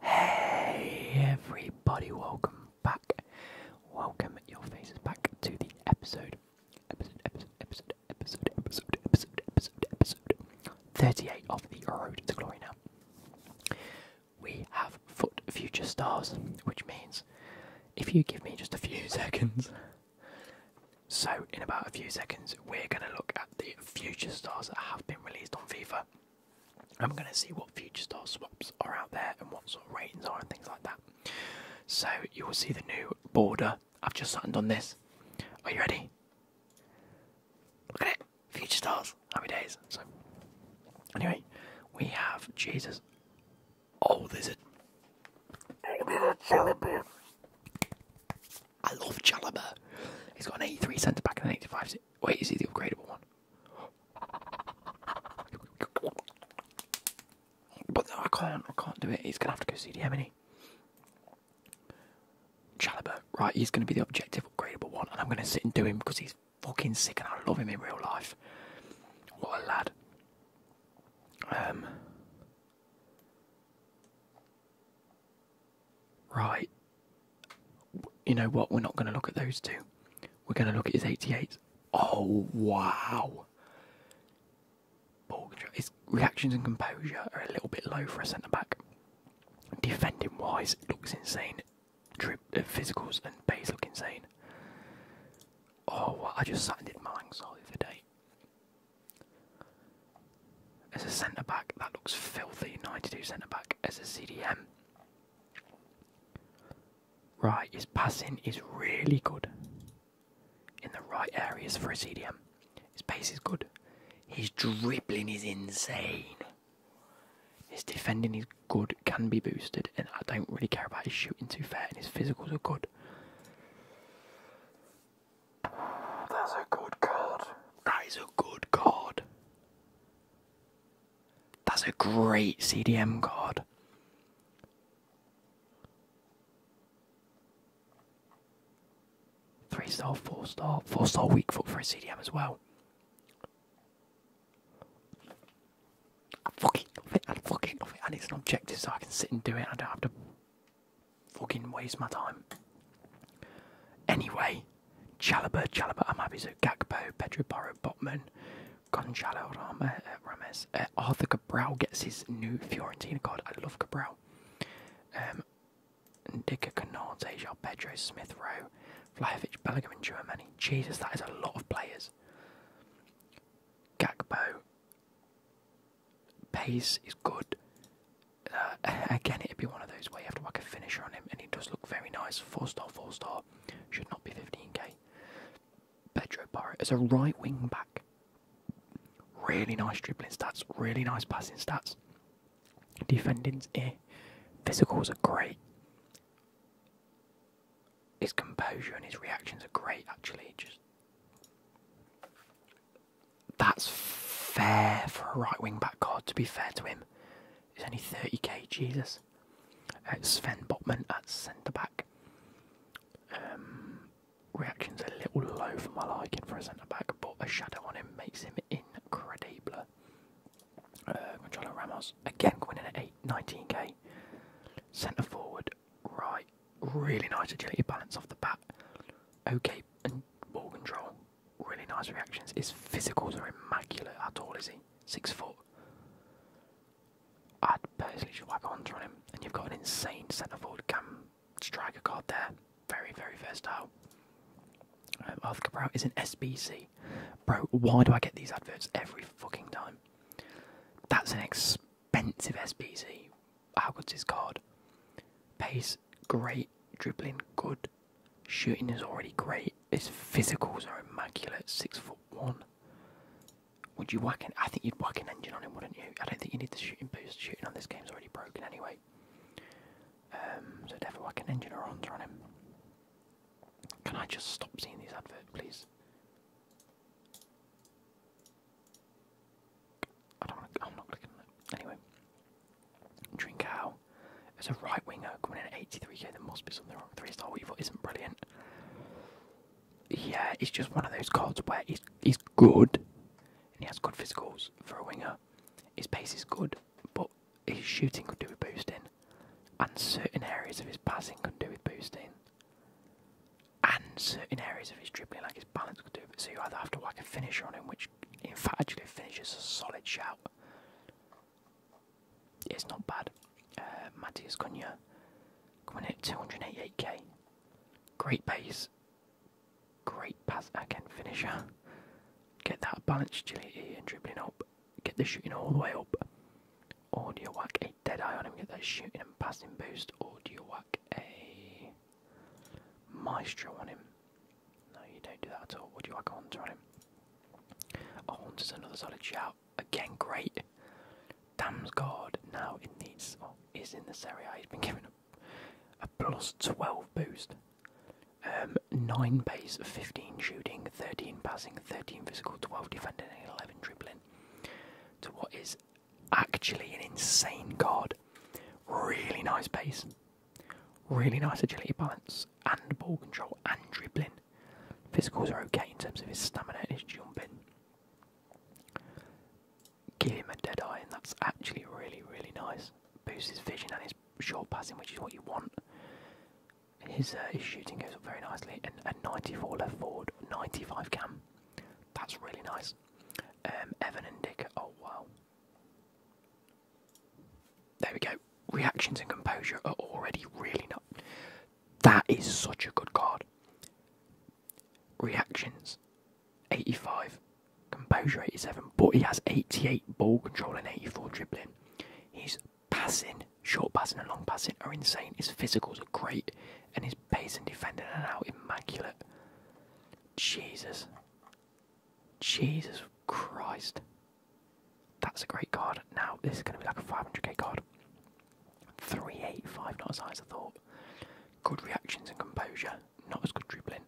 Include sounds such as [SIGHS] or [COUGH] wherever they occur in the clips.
Hey everybody, welcome back. Welcome your faces back to the episode. Episode, episode, episode, episode, episode, episode, episode, episode 38 of the Road to Glory now. We have foot future stars, which means if you give me just a few [LAUGHS] seconds. So, in about a few seconds, we're going to look at the future stars that have been released on FIFA. I'm going to see what future star swaps are out there and what sort of ratings are and things like that. So you will see the new border. I've just signed this. Are you ready? Look at it. Future stars. Happy days. So anyway, we have Jesus. Oh, there's a. I love Chalobah. He's got an 83 centre back and an 85. Wait, is he the upgradable one? But I can't. I can't do it. He's gonna have to go see isn't he? right? He's gonna be the objective upgradable one, and I'm gonna sit and do him because he's fucking sick, and I love him in real life. What a lad. Um right, you know what? We're not going to look at those two. We're going to look at his 88. Oh, wow. His reactions and composure are a little bit low for a centre back. Defending wise, looks insane. Drip, uh, physicals and pace look insane. Oh, wow. I just sat and did my anxiety the day. As a centre back, that looks filthy. 92 centre back. As a CDM, Right, his passing is really good in the right areas for a CDM. His pace is good. His dribbling is insane. His defending is good, can be boosted, and I don't really care about his shooting too fair, and his physicals are good. That's a good card. That is a good card. That's a great CDM card. Three star, four star, four star weak foot for a CDM as well. fucking love it, I fucking and it's an objective so I can sit and do it, I don't have to fucking waste my time. Anyway, Ginny, Chalaba, happy. Amabizu, Gakpo, Pedro Porro, Botman, Gonzalo Rama, eh, Rames. Eh, Arthur Cabral gets his new Fiorentina card. I love Cabral. Um, Dicker Canate, Jean Pedro, Smith Rowe, Vlahovic, Bellingham, and Germany. Jesus, that is a lot of players. Gakpo. Pace is good. Uh, [LAUGHS] again, it'd be one of those where you have to whack a finisher on him and he does look very nice. Four star, four star, should not be 15k. Pedro Parra is a right wing back. Really nice dribbling stats, really nice passing stats. Defending's eh. Physicals are great. His composure and his reactions are great actually. Just that's fair for a right wing back God, to be fair to him. He's only 30k, Jesus. Uh, at Sven Böttman at centre back. Um, reaction's a little low for my liking for a centre back, but a shadow on him makes him incredible. Uh, Ramos again going in at eight nineteen k Centre forward, right, really nice agility balance off the bat. Okay, and ball control really nice reactions. His physicals are immaculate. How tall is he? Six foot. I'd personally just whack Hunter on him, and you've got an insane centre forward cam striker card there. Very, very versatile. Um, Arthur Cabral is an SBC. Bro, why do I get these adverts every fucking time? That's an expensive SBC. How good's his card? Pace, great. Dribbling, good. Shooting is already great. His physicals are immaculate. Six foot one. Would you whack an? I think you'd whack an engine on him, wouldn't you? I don't think you need the shooting boost. Shooting on this game's already broken anyway. Um, so definitely whack an engine or on on him. Can I just stop seeing these adverts, please? I don't. I'm not clicking on Anyway, Trincao as a right winger coming in at 83k, there must be something wrong. Three star Weevil isn't brilliant. Yeah, it's just one of those cards where he's, he's good and he has good physicals for a winger. His pace is good, but his shooting could do with boosting, and certain areas of his passing could do with boosting, and certain areas of his dribbling, like his balance, could do with So you either have to work a finisher on him, which in fact, actually, finishes a solid shout, it's not bad. Uh, Matias Cunha coming in at 288k. Great pace. Great pass again, finisher. Get that balance agility and dribbling up. Get the shooting all the way up. Audio whack a dead eye on him. Get that shooting and passing boost. Or do you whack a maestro on him. No, you don't do that at all. What do you want oh, to on him? Oh, Horns is another solid shout. Again, great. Damn's God! now it needs oh, is in this area. He's been given a, a plus 12 boost. Um, 9 base, 15 shooting, 13 passing, 13 physical, 12 defending, 11 dribbling. To what is actually an insane God. Really nice base. Really nice agility balance and ball control and dribbling. Physicals are okay in terms of his stamina his jumping. Give him a dead eye, and that's actually really, really nice. Boosts his vision and his short passing, which is what you want. His, uh, his shooting goes up very nicely, and a 94 left forward, 95 cam. That's really nice. Um, Evan and Dick, oh wow. There we go. Reactions and composure are already really not. That is such a good card. Reactions 85, composure 87, but he has 88 ball control and 84 dribbling. His passing, short passing and long passing are insane. His physicals are great, and his pace and defending are now immaculate. Jesus, Jesus Christ. That's a great card. Now, this is going to be like a 500k card. 385, not as high as I thought. Good reactions and composure, not as good dribbling.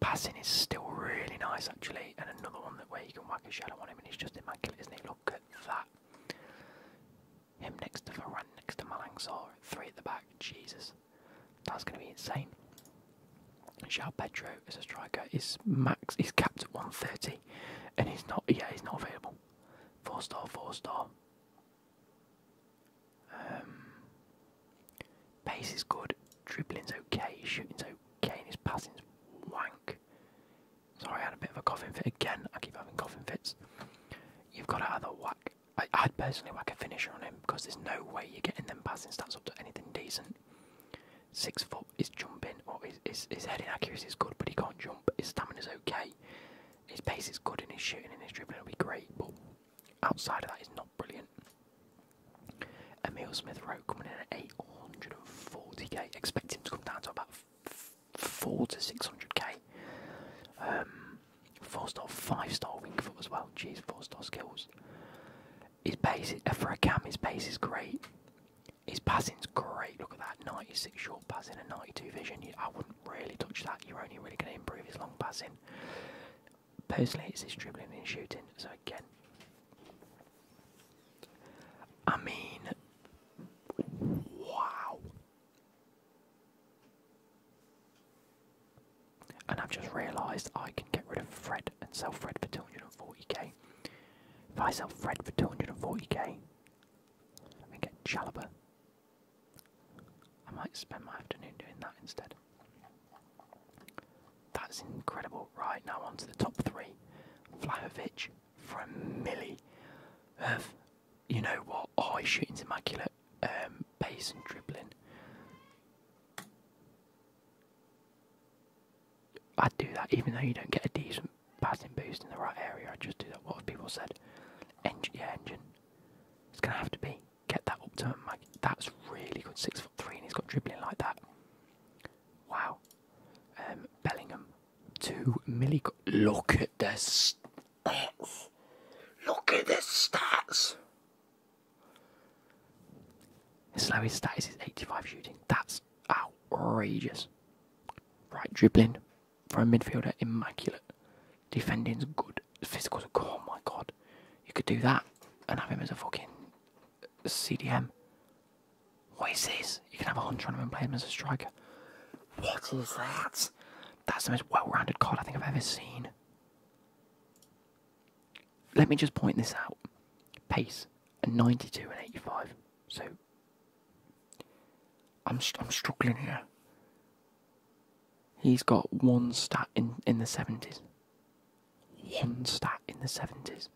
Passing is still really nice, actually. And another one that where you can whack a shadow on him and he's just immaculate, isn't he? Look at that. Him next to Varane, next to Malangsar, three at the back. Jesus. That's going to be insane. João Petro as a striker is max is capped at 130 and he's not yeah he's not available. Four star, four star. Um, pace is good, dribbling's okay, shooting's okay, and his passing's wank. Sorry, I had a bit of a coughing fit again. I keep having coughing fits. You've got to either whack. I, I'd personally whack a finisher on him because there's no way you're getting them passing stats up to anything decent. Six foot, he's jumping or his, his, his heading accuracy is good, but he can't jump. His stamina is okay. His pace is good, and his shooting and his dribbling will be great. But outside of that, he's not brilliant. Emil Smith Rowe coming in at 840k. Expect him to come down to about four to 600k. Um, four star, five star wing foot as well. Jeez, four star skills. His pace uh, for a cam, his pace is great. His passing's great. Look at that, 96 short passing a 92 vision. I wouldn't really touch that. You're only really going to improve his long passing. Personally, it's his dribbling and shooting. So again, I mean, wow. And I've just realised I can get rid of Fred and sell Fred for 250 40 k If I sell Fred for 240k, let me get Chalobah. I might spend my afternoon doing that instead. That's incredible. Right, now on to the top three. Vlahovic for a milli. Of, you know what? Oh, his shooting's immaculate. Um, pace and dribbling. I'd do that, even though you don't get a decent passing boost in the right area. I'd just do that. What have people said? Engine, yeah, engine. It's gonna have to be. Get that up to Mike. That's really good. Six foot three, and he's got dribbling like that. Wow. Um, Bellingham, two milli. Look at this stats. Look at their stats. His slowest stat is 85 shooting. That's outrageous. Right, dribbling for a midfielder, immaculate. Defending's good. Physical's good. Oh my god. You could do that and have him as a fucking CDM. What is this? You can have a hunter on him and play him as a striker. What is that? That's the most well rounded card I think I've ever seen let me just point this out. Pace at 92 and 85. So I'm I'm struggling here. He's got one stat in in the 70s. One stat in the 70s.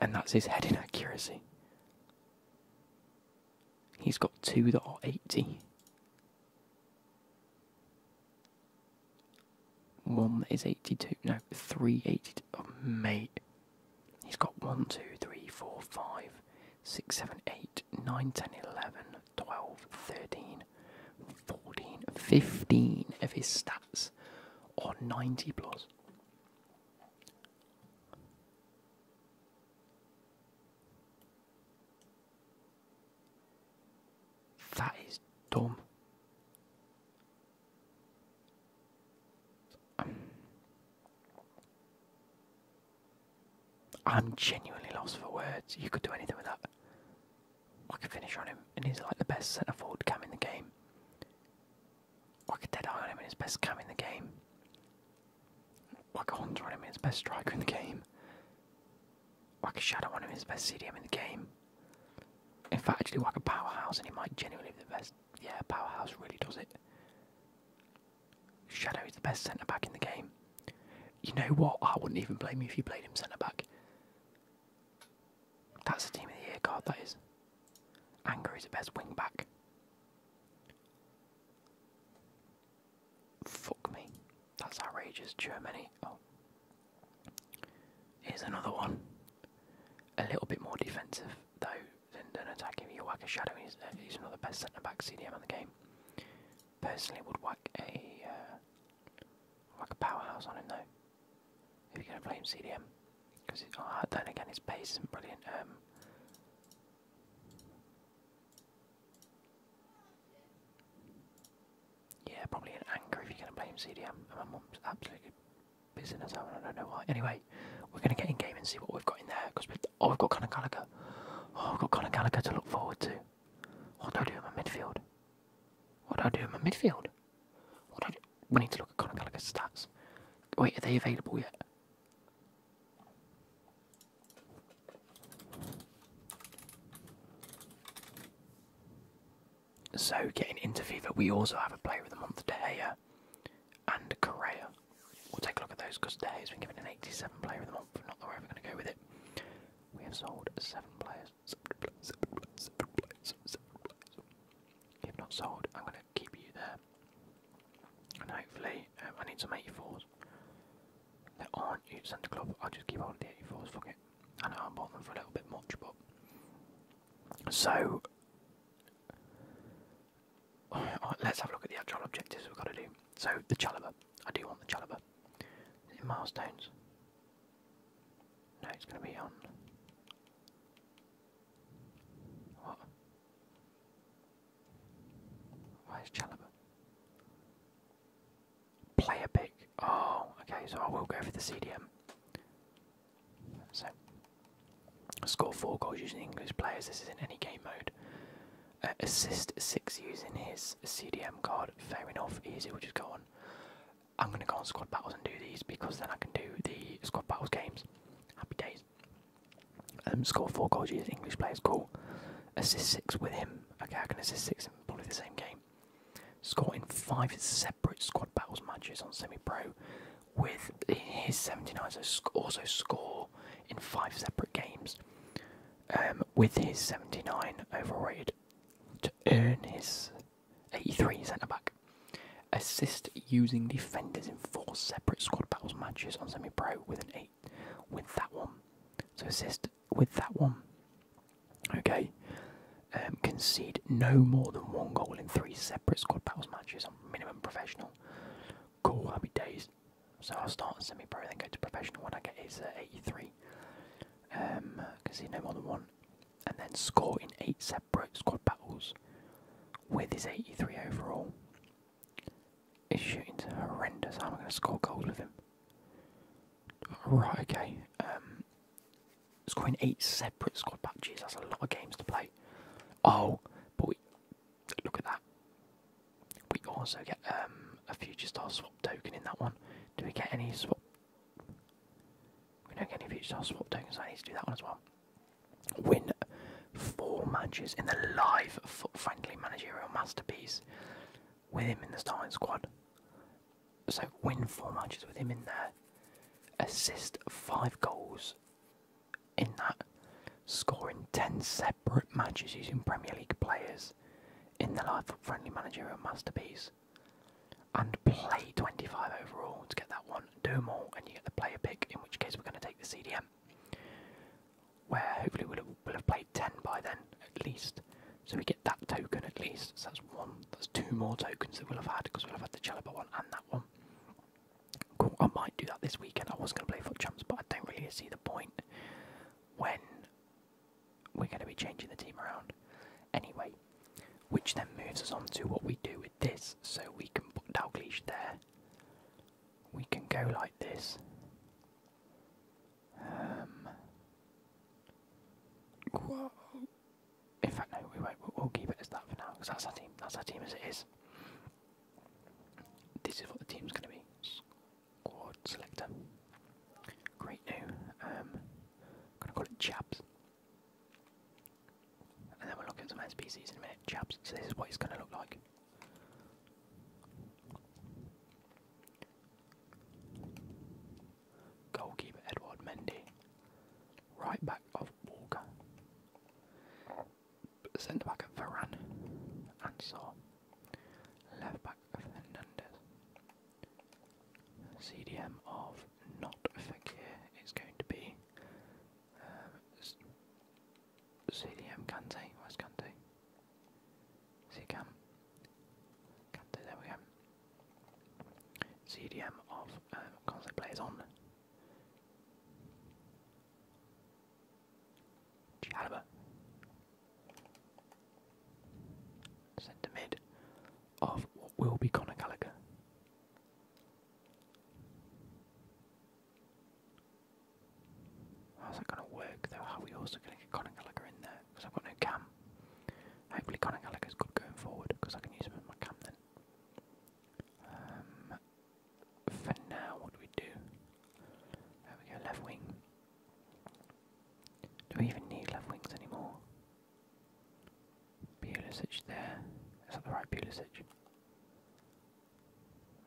And that's his heading accuracy. He's got two that are 80. One is 82. No, three eighty. 82. mate. He's got one, two, three, four, five, six, seven, eight, nine, ten, eleven, twelve, thirteen, fourteen, fifteen 2, of his stats are 90 plus. That is dumb. Um, I'm genuinely lost for words. You could do anything with that. I could finish on him, and he's like the best centre forward cam in the game. I could dead eye on him, and he's best cam in the game. I could hunter on him, and he's best striker in the game. Waka Shadow, one of his best CDM in the game. In fact, actually, a Powerhouse, and he might genuinely be the best. Yeah, Powerhouse really does it. Shadow is the best centre back in the game. You know what? I wouldn't even blame you if you played him centre back. That's the team of the year card, that is. Anger is the best wing back. Fuck me. That's outrageous. Germany. Oh. Here's another one. A little bit more defensive, though, than, than attacking. You whack a shadow, uh, he's, not the best centre back CDM in the game. Personally, would whack a uh, whack a powerhouse on him, though, if you're going to play him CDM. Because oh, then again, his pace isn't brilliant. Um, yeah, probably an anger if you're going to blame CDM. And my mum's absolutely busy, us out, and I don't know why. Anyway, we're going to get in game and see what we've got in there. Because we've, oh, we've got Conor Gallagher. Oh, we've got Conor Gallagher to look forward to. What do I do in my midfield? What do I do in my midfield? We need to look at Conor Gallagher's stats. Wait, are they available yet? So, getting into FIFA, we also have a player of the month, De and Correa. We'll take a look at those because De has been given an 87 player of the month, not that we're ever going to go with it. We have sold seven players. Seven players, seven players, seven players, If not sold, I'm going to keep you there. And hopefully, um, I need some 84s aren't each centre club, i just keep hold the 84s, fuck it. I know I bought them for a little bit much, but. So, [SIGHS] let's have a look at the actual objectives we've got to do. So, the Chalobah. I do want the Chalobah. Is milestones? No, it's going to be on. What? Where's Chalobah? Player pick. Oh, okay, so I will go for the CDM. So, score four goals using English players. This is in any game mode. Uh, assist six using his CDM card. Fair enough, easy. We'll just go on. I'm gonna go on squad battles and do these because then I can do the squad battles games. Happy days. Um, score four goals using English players. Cool. Assist six with him. Okay, I can assist six years, probably the same game. Scored in five separate squad battles matches on semi-pro, with his 79 so also score in five separate games. Um, with his 79 overall rated to earn his 83 centre back. Assist using defenders in four separate squad battles matches on semi-pro with an eight. With that one, so assist with that one. Okay, um, concede no more than one goal in three separate squad battles matches on minimum professional. Cool, I'll be dazed. So I'll start semi pro, then go to professional when I get his uh, 83. Um, concede no more than one, and then score in eight separate squad battles with his 83 overall. His shooting's horrendous. How am I going to score goals with him? Right, okay. Um, scoring eight separate squad patches, that's a lot of games to play. Oh, but we, look at that. We also get um, a future star swap token in that one. Do we get any swap? We don't get any future star swap tokens, I need to do that one as well. Win four matches in the live foot friendly managerial masterpiece with him in the starting squad. So win four matches with him in there, assist five goals in that, scoring ten separate matches using Premier League players in the life friendly managerial masterpiece. And play 25 overall to get that one. Do more, and you get the player pick, in which case we're going to take the CDM. Where hopefully we'll have played 10 by then, at least. So we get that token at least. So that's one. That's two more tokens that we'll have had because we'll have had the Chalaba one and that one. I might do that this weekend. I was going to play Foot Champs, but I don't really see the point when we're going to be changing the team around. Anyway, which then moves us on to what we do with this. So we can put Dalgleish there. We can go like this. Um, in fact, no, we won't. We'll, keep it as that for now because that's our team. That's our team as it is. This is what the team's going to be. Squad selector. Great new. Um, going to call it Jabs. And then we'll look at some NPCs in a minute. Jabs. So this is what it's going to look like. Goalkeeper Edward Mendy. Right back of Walker. Centre back of Varane. And Saw. Left back of Hernandez. CDM of not a figure. It's going to be CDM um, Kante. West Kante? See cam. can there we go. CDM of um, console on. Chalaba. Centre mid of what will be Conor Gallagher. How's that going to work though? How are we also going to get Conor Gallagher in there? Because I've got no cam. Hopefully Conor Gallagher's good going forward because I can use him as my cam then. Um, for now, what do we do? There we go, left wing. Do we even need left wings anymore? Pulisic there. Is that the right Pulisic?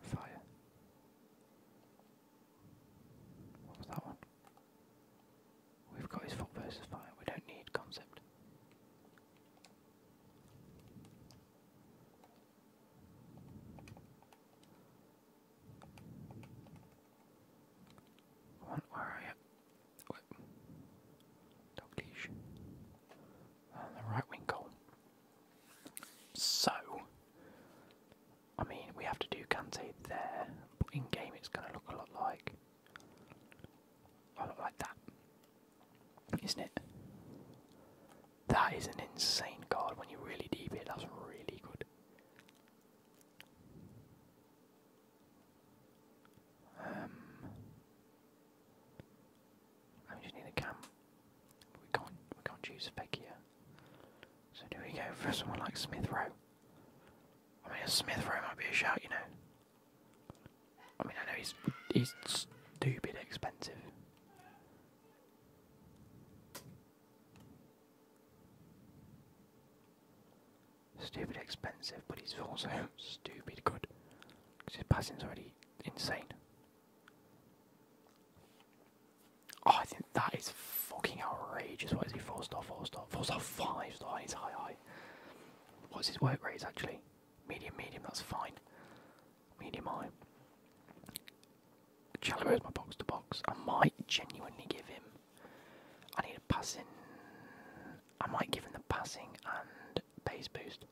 Fire. What was that one? We've got his foot versus fire. We don't need concept. where are you? What? Dog the right wing goal. So, I mean, we have to do Kante there, but in game it's going to look a lot like. A lot like that, isn't it? That is an insane card when you really deep it, that's really good. Um, I just need a cam. We can't, we can't choose Spec So do we go for someone like Smith Rowe? I mean, a Smith Rowe might be a shout, you know. I mean, I know he's stupid expensive. Stupid expensive, but he's also stupid good. Because his passing's already insane. Oh, I think that is fucking outrageous. What is he? Four star, four star, four star, five star. He's high, high. What's his work rate actually? Medium, medium. That's fine. Medium high. Chalobah is my box to box. I might genuinely give him. I need a passing. I might give him the passing and base boost,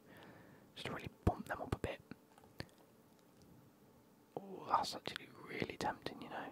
just to really bump them up a bit. Oh, that's actually really tempting, you know.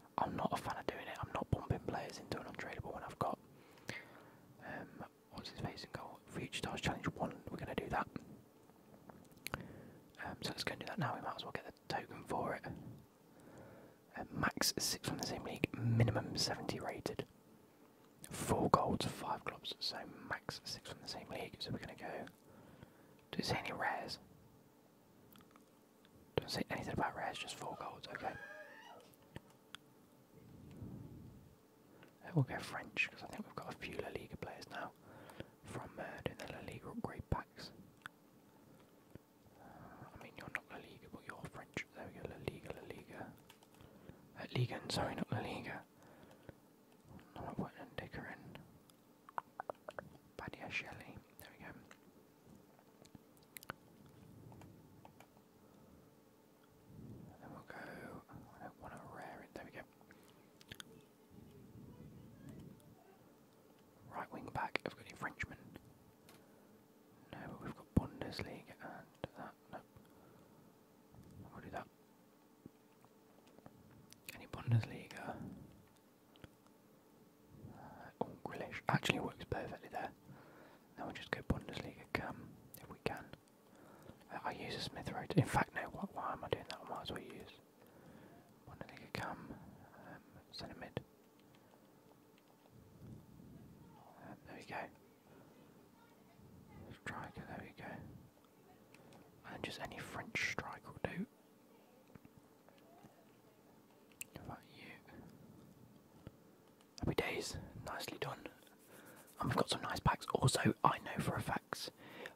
I'm not a fan of doing it. I'm not bumping players into an untradeable one. I've got um, what's his face and goal. Future Stars Challenge One. We're going to do that. Um, so let's go and do that now. We might as well get the token for it. Uh, max six from the same league. Minimum seventy rated. Four goals, five clubs. So max six from the same league. So we're going to go. Do it see any rares? do not say anything about Reds. just four goals, okay. We'll go French, because I think we've got a few La Liga players now from uh, doing the La Liga upgrade packs. I mean, you're not La Liga, but you're French. There we go, La Liga, La Liga. Uh, Liga, sorry, not La Liga. I'm not putting Dicker in. Badia Shelley, there we go then we'll go. I don't want to rare it. There we go. Right wing back. Have got any Frenchmen? No, we've got Bundesliga and We'll do that. Any Bundesliga? Oh, Grealish actually works perfectly there. Now we'll just go Bundesliga Cam if we can. I use a Smith Road. In fact, no, why, am I doing that? I might as well use Bundesliga Cam, um, um, there we go. Striker, there we go. And just any French striker will do. How about you? Happy days, nicely done. And we've got some nice packs. Also, I know for a fact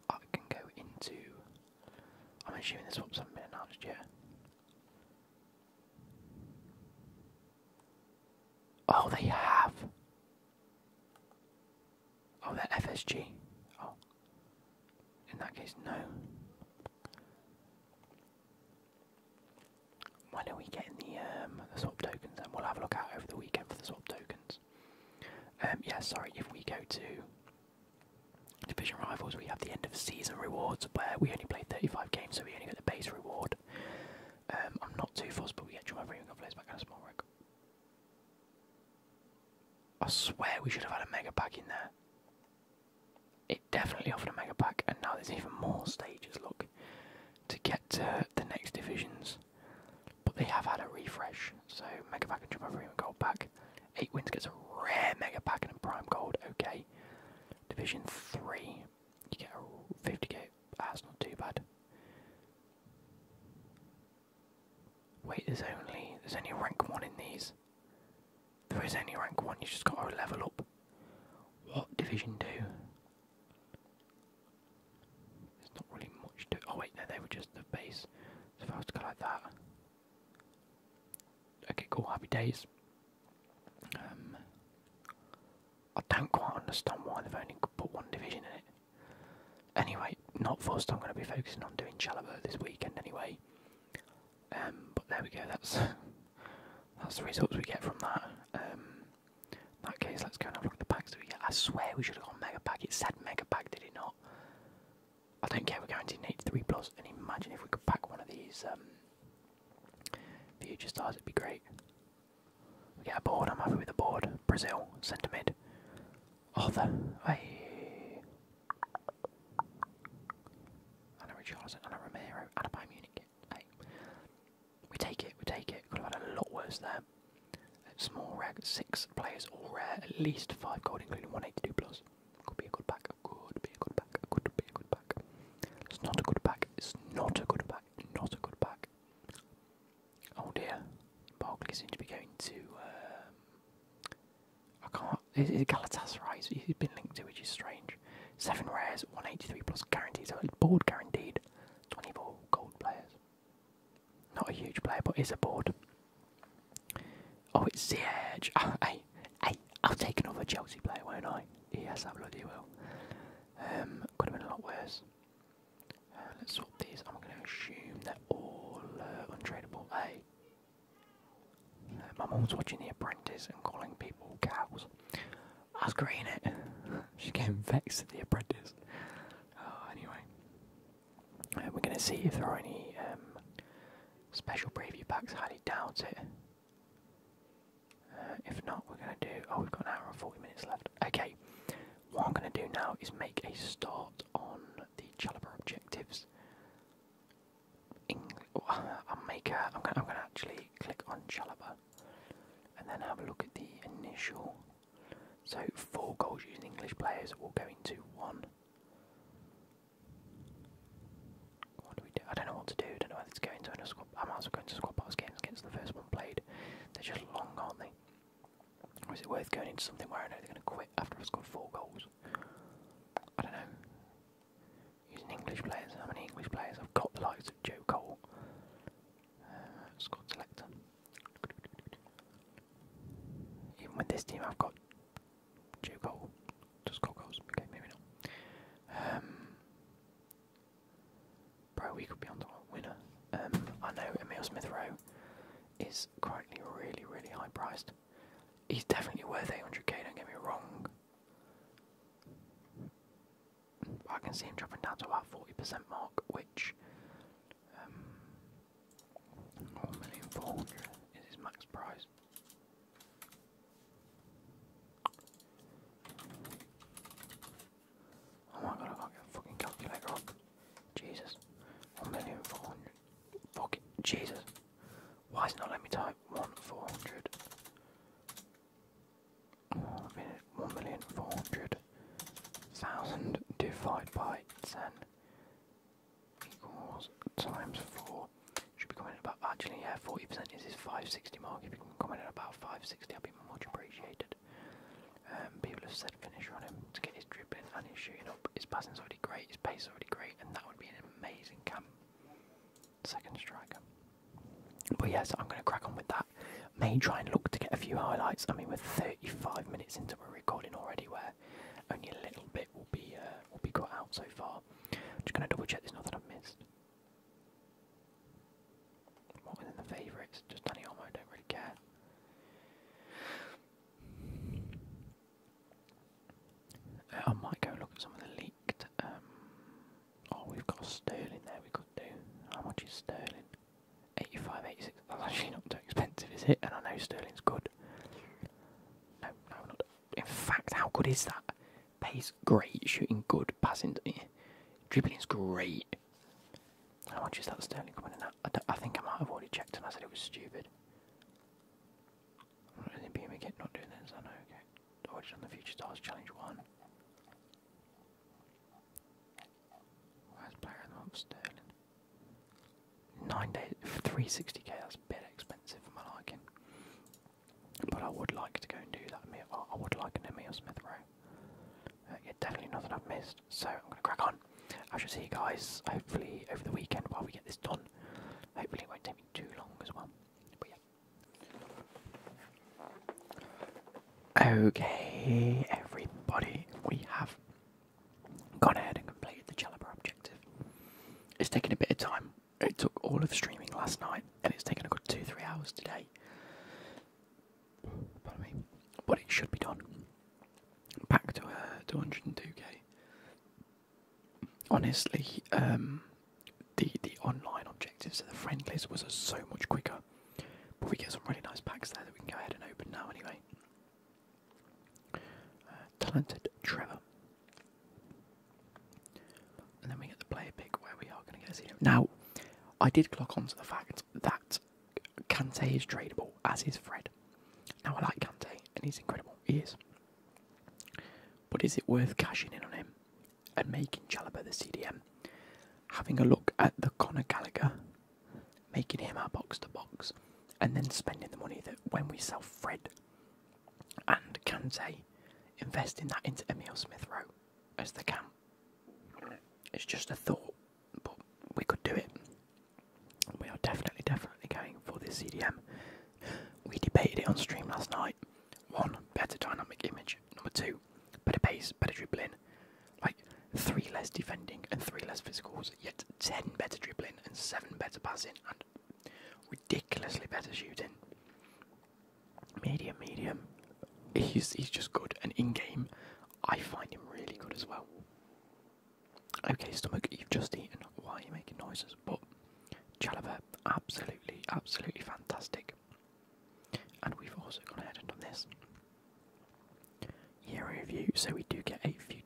I can go into. I'm assuming this swaps haven't been announced yet. Oh, they have. Oh, they're FSG. Oh. In that case, no. Why don't we get in the um, swap tokens and we'll have a look out over the weekend for the swap tokens. Um yeah, sorry, if we go to Division Rivals we have the end of season rewards where we only played thirty five games so we only get the base reward. Um, I'm not too fussed but we get of Freeman Flares back and a small wreck. I swear we should have had a mega pack in there it definitely offered a mega pack, and now there's even more stages. Look, to get to the next divisions, but they have had a refresh. So mega pack and triple premium gold pack. Eight wins gets a rare mega pack and a prime gold. Okay, division three, you get a 50k. That's not too bad. Wait, there's only there's only rank one in these. There is only rank one, you just gotta level up. What division two? There's not really much to oh wait, no, they were just the base. So if I was to go like that. Okay, cool, happy days. Um I don't quite understand why they've only put one division in it. Anyway, not forced. I'm going to be focusing on doing Chalobah this weekend anyway. Um, but there we go. That's [LAUGHS] that's the results we get from that. Um, that case, let's go and have the packs I swear we should have gone mega pack. It said mega pack, did it not? I don't care. We're going to need three plus. and imagine if we could pack one of these um, future stars. It'd be great. We get a board. I'm happy with the board. Brazil, centre Arthur. Oh, hey. Anna Richarlison, Anna Romero, Anna by Munich hey, we take it, we take it. Could have had a lot worse there. Small rag, six players all rare, at least five gold, including 182 plus. Could be a good back. could be a good back. could be good pack. It's not a good back. it's not a good back. not a good pack. Oh dear, Barkley seems to be going to. Um, I can't. Is it Galatasaray? He's been linked to, which is strange. 7 rares, 183 plus guarantees, so board guaranteed. 24 gold players. Not a huge player, but is a board. Oh, it's the edge. [LAUGHS] hey, hey, I'll take another Chelsea player, won't I? Yes, I bloody will. Um, could have been a lot worse. Uh, let's swap these. I'm going to assume they're all uh, untradeable. Hey, my mum was watching The Apprentice and calling people cows. I was great it. [LAUGHS] she getting vexed at The Apprentice. Oh, anyway. Uh, we're going to see if there are any um, special preview packs. Highly doubt it. Uh, if not, we're going to do. Oh, we've got an hour and 40 minutes left. Okay, what I'm going to do now is make a start on the Challenger objectives. Oh, i am I'm actually click on Chalaba, and then have a look at the initial. So four goals using English players will go into one. What do we do? I don't know what to do. I don't know whether to go into a squad. I might as well go squad pass games against the first one played. They're just long, aren't they? Or is it worth going into something where I know they're going to quit after I've scored four goals? I don't know using English players. How many English players? I've got the likes of Joe Cole. Uh, squad selector. Even with this team, I've got Joe Cole. Just got goals. Okay, maybe not. Um, bro, we could be on the winner. Um, I know Emil Smith Rowe is currently really, really high priced. He's definitely worth 800k, don't get me wrong. I can see him dropping down to about 40% mark, which um, is his max price. Oh my god, I got not fucking calculator wrong. Jesus. Fuck it, Jesus. Why is it not letting me type 1,400? one million four hundred thousand divided by ten equals times four. Should be coming in about actually yeah, forty percent is this five sixty mark. If you can comment in about five sixty, I'd be much appreciated. Um, people have said finish running him to get his dribbling and his shooting up. His passing's already great. His pace is already great, and that would be an amazing camp second strike, But yes, I'm going to crack on with that. May try and look to get a few highlights. I mean, we're 35 minutes into a recording already, where only a little bit will be uh, will be cut out so far. just going to double check there's nothing I've missed. What was in the favourites? Just any armor, don't really care. Uh, I might go look at some of the leaked um, Oh, we've got Sterling there we could do. How much is Sterling? 85, 86. That's actually not too expensive, is it? And I know Sterling's good. No, no, not. In fact, how good is that? Pace great, shooting good, passing, yeah. dribbling's great. How much is that Sterling coming in at? I think I might have already checked and I said it was stupid. Really beam again, not doing that, so I know, okay. Dodge on the Future Stars Challenge 1. Last player in the month, Sterling. 9 days, 360k, that's a bit expensive for my liking. But I would like to go and do that, I would like an Emil Smith row. Uh, yeah, definitely nothing I've missed, so I'm going to crack on. I shall see you guys, hopefully over the weekend while we get this done. Hopefully it won't take me too long as well. But yeah, Okay, everybody, we have gone ahead and completed the Challenger objective. It's taken a bit of time. It took all of streaming last night, and it's taken a good two, three hours today. Pardon me, but it should be done. Back to 202k. Uh, honestly, um, the the online objectives of the friendlies was so much quicker. But we get some really nice packs there that we can go ahead and open now anyway. Uh, talented Trevor. And then we get the player pick where we are going to get Zeno. Now, I did clock on to the fact that Kante is tradable, as is Fred. Now, I like Kante, and he's incredible. He is. But is it worth cashing in on him? and making Chalobah the CDM, having a look at the Conor Gallagher, making him our box to box, and then spending the money that when we sell Fred and Kante, investing that into Emil Smith Rowe as the camp. It's just a thought, but we could do it. We are definitely, definitely going for this CDM. We debated it on stream last night. One, better dynamic image. Number two, better pace, better dribbling. Like three less defending and three less physicals, yet ten better dribbling and seven better passing and ridiculously better shooting. Medium, medium. He's he's just good and in game, I find him really good as well. Okay, stomach, you've just eaten. Why are you making noises? But Chalobah, absolutely, absolutely fantastic. And we've also gone ahead and done this. Year review. so we do get a future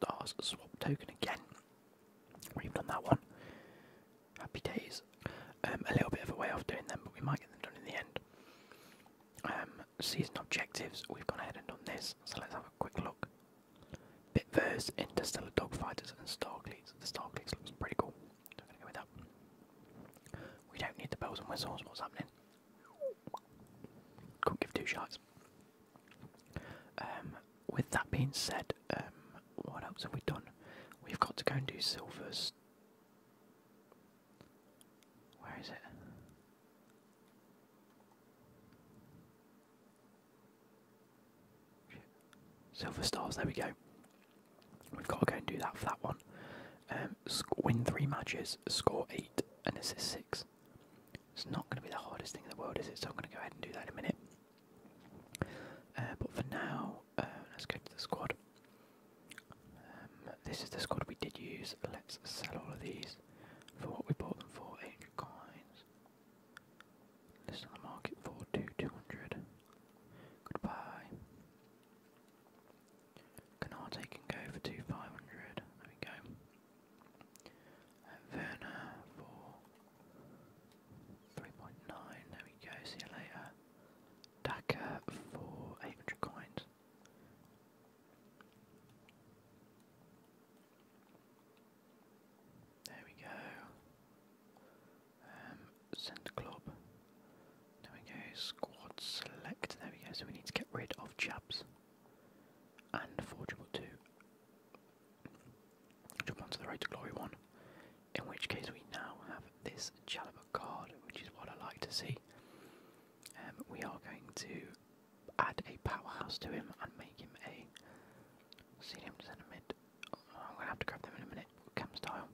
Stars swap token again. We've done that one. Happy days. Um, a little bit of a way off doing them, but we might get them done in the end. Um, season objectives, we've gone ahead and done this, so let's have a quick look. Bitverse, Interstellar Dogfighters, and Starcleats. The Starcleats looks pretty cool with that. We don't need the bells and whistles, what's happening? Couldn't give two shots. Um, with that being said, um, what else have we done? We've got to go and do silvers. Where is it? Silver stars, there we go. We've got to go and do that for that one. Um, win three matches, score eight, and assist six. It's not going to be the hardest thing in the world, is it? So I'm going to go ahead and do that in a minute. Uh, but for now, uh, let's go to the squad. Um, this is the squad we did use. Let's sell all of these for what we bought them for 800 coins. List on the market for two two hundred. Goodbye. Canard can go for two five hundred. There we go. And for three point nine. There we go. See you later. Daka for eight hundred coins. There we go. Um, club. There we go. Squad select. There we go. So we need to get rid of Jabs and Forgeable two. Jump onto the Road to Glory one. In which case we now have this Chalibur card, which is what I like to see. Um, we are going to add a powerhouse to him and make him a. See him I'm gonna have to grab them in a minute, cam style.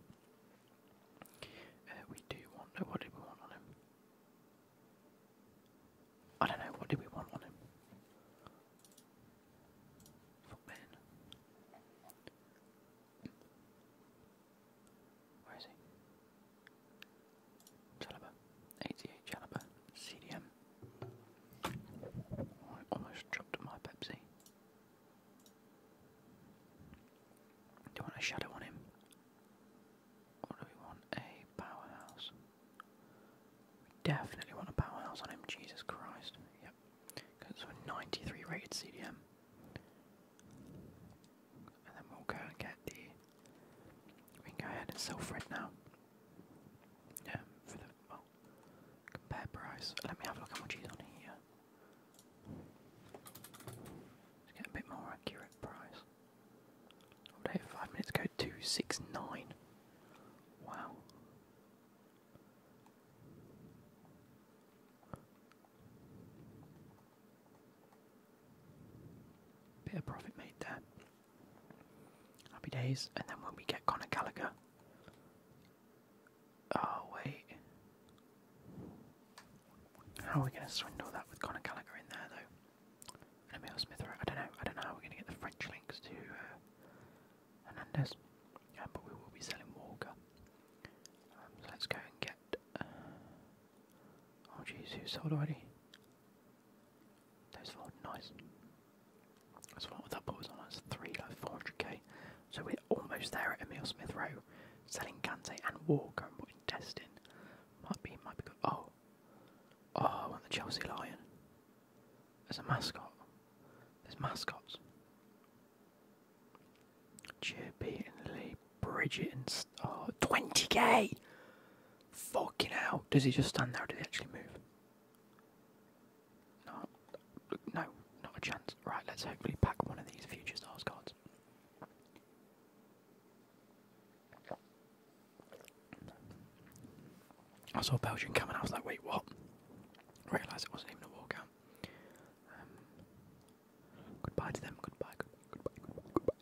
Uh, we do want. what did we want on him? I don't know. What did we want on him? Footman. Where is he? Chalaba, 88 Chalaba, CDM. almost dropped my Pepsi. Do you want a shadow on him? do we want a powerhouse? definitely want a powerhouse on him, Jesus Christ. Yep. Because it's a 93 rated CDM. And then we'll go and get the. We ahead and sell now. Yeah, Compare price. Let me have a look how much he's on here. get a bit more accurate price. five minutes ago, 269. Wow. Bit of profit made there. Happy days, and then when we get Conor Gallagher, Oh, wait. How are we going to swindle that with Conor Gallagher in there, though? And Emil Smith, I don't know. I don't know how we're going to get the French links to uh, Hernandez. but we will be selling Walker. Um, so let's go and get. Uh, oh, jeez, who's sold already? Those four, nice. So what that put us on? That's three, like 400k. So we're almost there at Emil Smith Rowe. Selling Kante and Walker and putting Dest Might be, might be good. Oh. Oh, I the Chelsea Lion. There's a mascot. There's mascots. Chirpy and Lee. Bridget and... St 20k! Fucking out. Does he just stand there or does he actually move? No, no, not a chance. Right, let's hopefully pack one of these Future Stars cards. I saw Belgium coming, I was like, wait, what? Realised it wasn't even a walkout. Um, goodbye to them, goodbye, goodbye, goodbye, goodbye.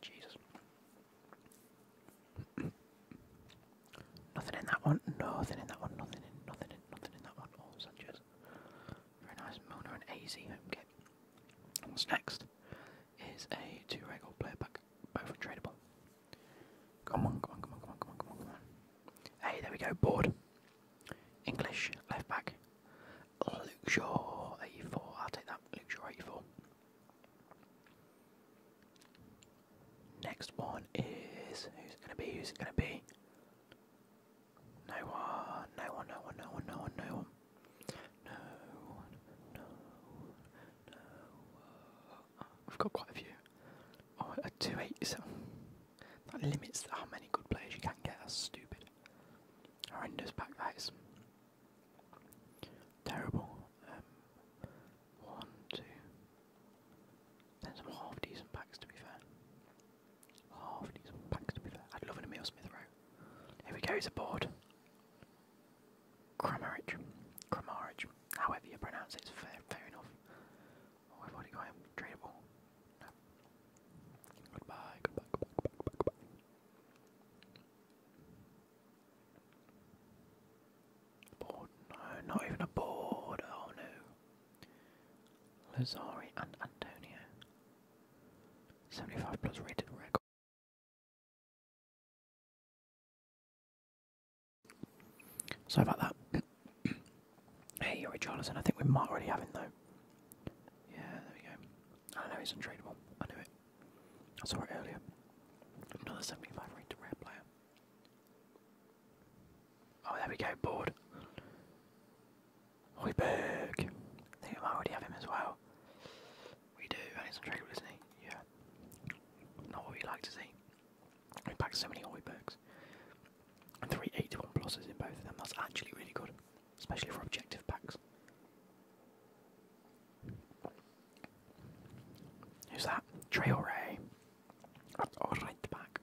Jesus. Nothing in that one. Nothing in that one. Nothing in. Nothing in. Nothing in that one. Oh, Sanchez. Very nice. Mona and AZ home kit. What's next is a two regular player pack, both untradeable. Come on, come on, come on, come on, come on, come on, Hey, there we go. Board. English left back. Luke Shaw 84. I'll take that. Luke Shaw 84. Next one is who's gonna be? Who's gonna be? No one, no one, no one, no one, no one, no one. No one, no one, no I've got quite a few. Oh, a 287. That limits how many good players you can get. That's stupid. Horrendous back. that is. Terrible. Um, one, two. Then some half decent packs to be fair. Half decent packs to be fair. I'd love an Emil row. Here we go, he's aboard. Kramarich. Kramarich. However you pronounce it, fair, enough. Oh, I've already got goodbye, goodbye, goodbye, goodbye, goodbye. Board, no, not even a board, oh no. Lazari and Antonio. 75 plus rated record. Sorry about that. [COUGHS] hey, you're a Richarlison. I think we might already have him though. Yeah, there we go. I don't know, he's untradeable. I knew it. I saw it earlier. Another 75 rated rare player. Oh, there we go, board. Hoiberg. I think I might already have him as well. We do, and it's a isn't he? Yeah. Not what we like to see. We packed so many Hoibergs. 381 pluses in both of them. That's actually really good, especially for objective packs. Who's that? Trey or right back.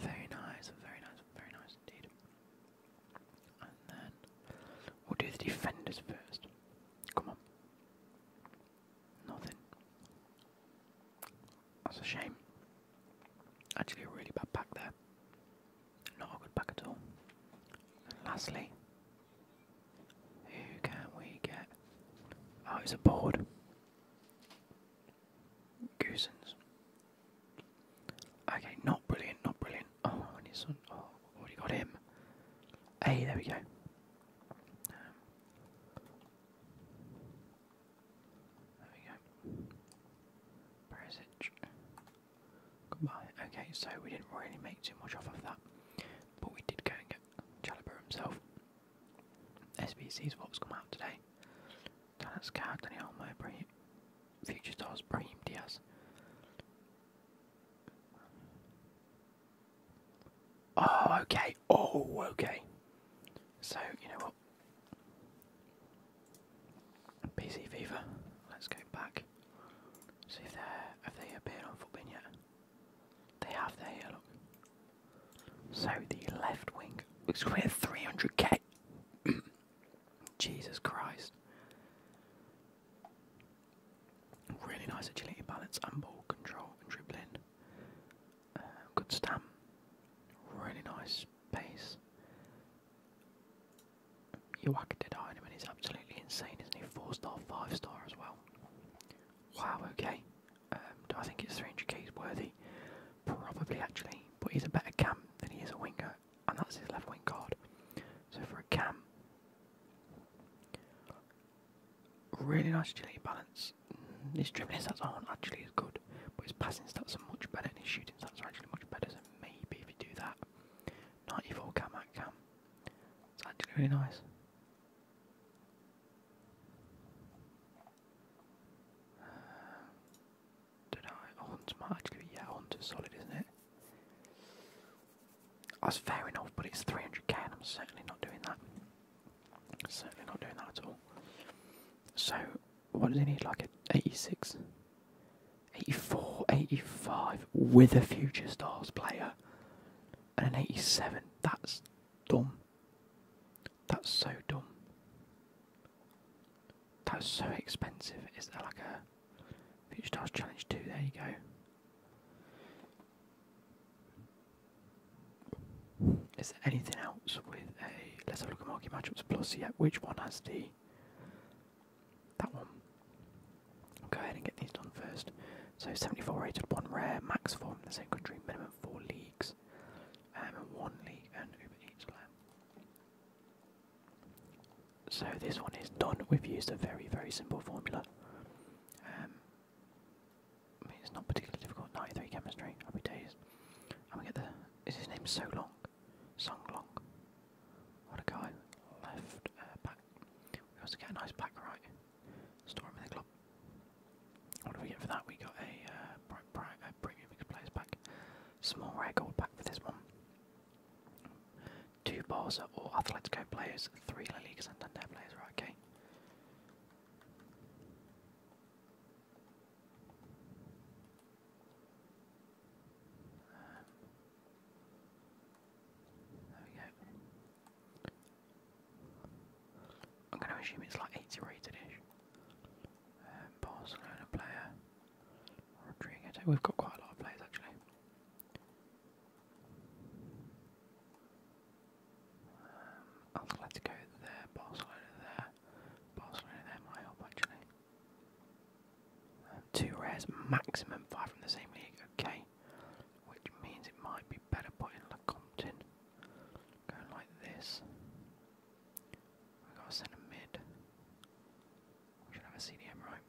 Very nice, very nice, very nice indeed. And then we'll do the defenders first. Come on. Nothing. That's a shame. Actually, a really bad pack there. Not a good pack at all. And lastly, who can we get? Oh, he's a board. Cousins. Okay, not brilliant, not brilliant. Oh, I need some. Oh, already got him. Hey, there we go. there we go. Perisic. Goodbye. Okay, so we didn't really make too much off of that, but we did get Chalobah himself. SBC's what's come out today. Dallas Card, Daniel Mowbray, Future Stars, Brahim Diaz. Oh, okay. Oh, okay. So, you know what? PC Fever. Let's go back. See if they have they appeared on Footbin yet. They have. They Look. So the left wing was worth 300k. Jesus Christ. Really nice agility balance and ball control and dribbling. Uh, good stamp. Really nice pace. Joachim did iron and he's absolutely insane, isn't he? Four star, five star as well. Wow, okay. Um, I think it's 300k's worthy, probably actually, but he's a better cam than he is a winger, and that's his left wing card. So for a cam, really nice agility balance. His dribbling stats aren't actually as good, but his passing stats are much better, and his shooting stats are actually much better. So maybe if you do that, 94 cam out cam, it's actually really nice. Don't know. Hunt might Yeah, Hunt is solid, isn't it? That's fair enough, but it's 300k, and I'm certainly not doing that. Certainly not doing that at all. So, what does he need? Like a 86, 84, 85 with a future stars player, and an 87. That's Dumb. That's so dumb. That's so expensive. Is there like a Future Stars Challenge too? There you go. Is there anything else with a. Let's have a look at market matchups plus. Yet, which one has the. That one. go ahead and get these done first. So 74 rated, one rare, max form the same country, minimum four leagues, um, and one league and Uber Eats Lab. So this one is done. We've used a very, very simple formula. Um, it's not particularly difficult. 93 chemistry, happy days. And we get the. Is his name So Long? Song Long. What a guy. Left uh, back. We also get a nice back right. Storm in the club. What do we get for that? We got a, uh, a premium players pack. Small rare gold pack for this one. Two Barca or Atletico players, three La Liga Santander players, right, okay. Um, there we go. I'm going to assume it's like 80 rated ish. Um, Barcelona player, We've got quite a lot of players actually. Um, there, Barcelona there, Barcelona there might help actually. Um, two rares, maximum five from the same league. Okay which means it might be better putting Lecompton. Going like this. we got a mid. We should have a CDM right.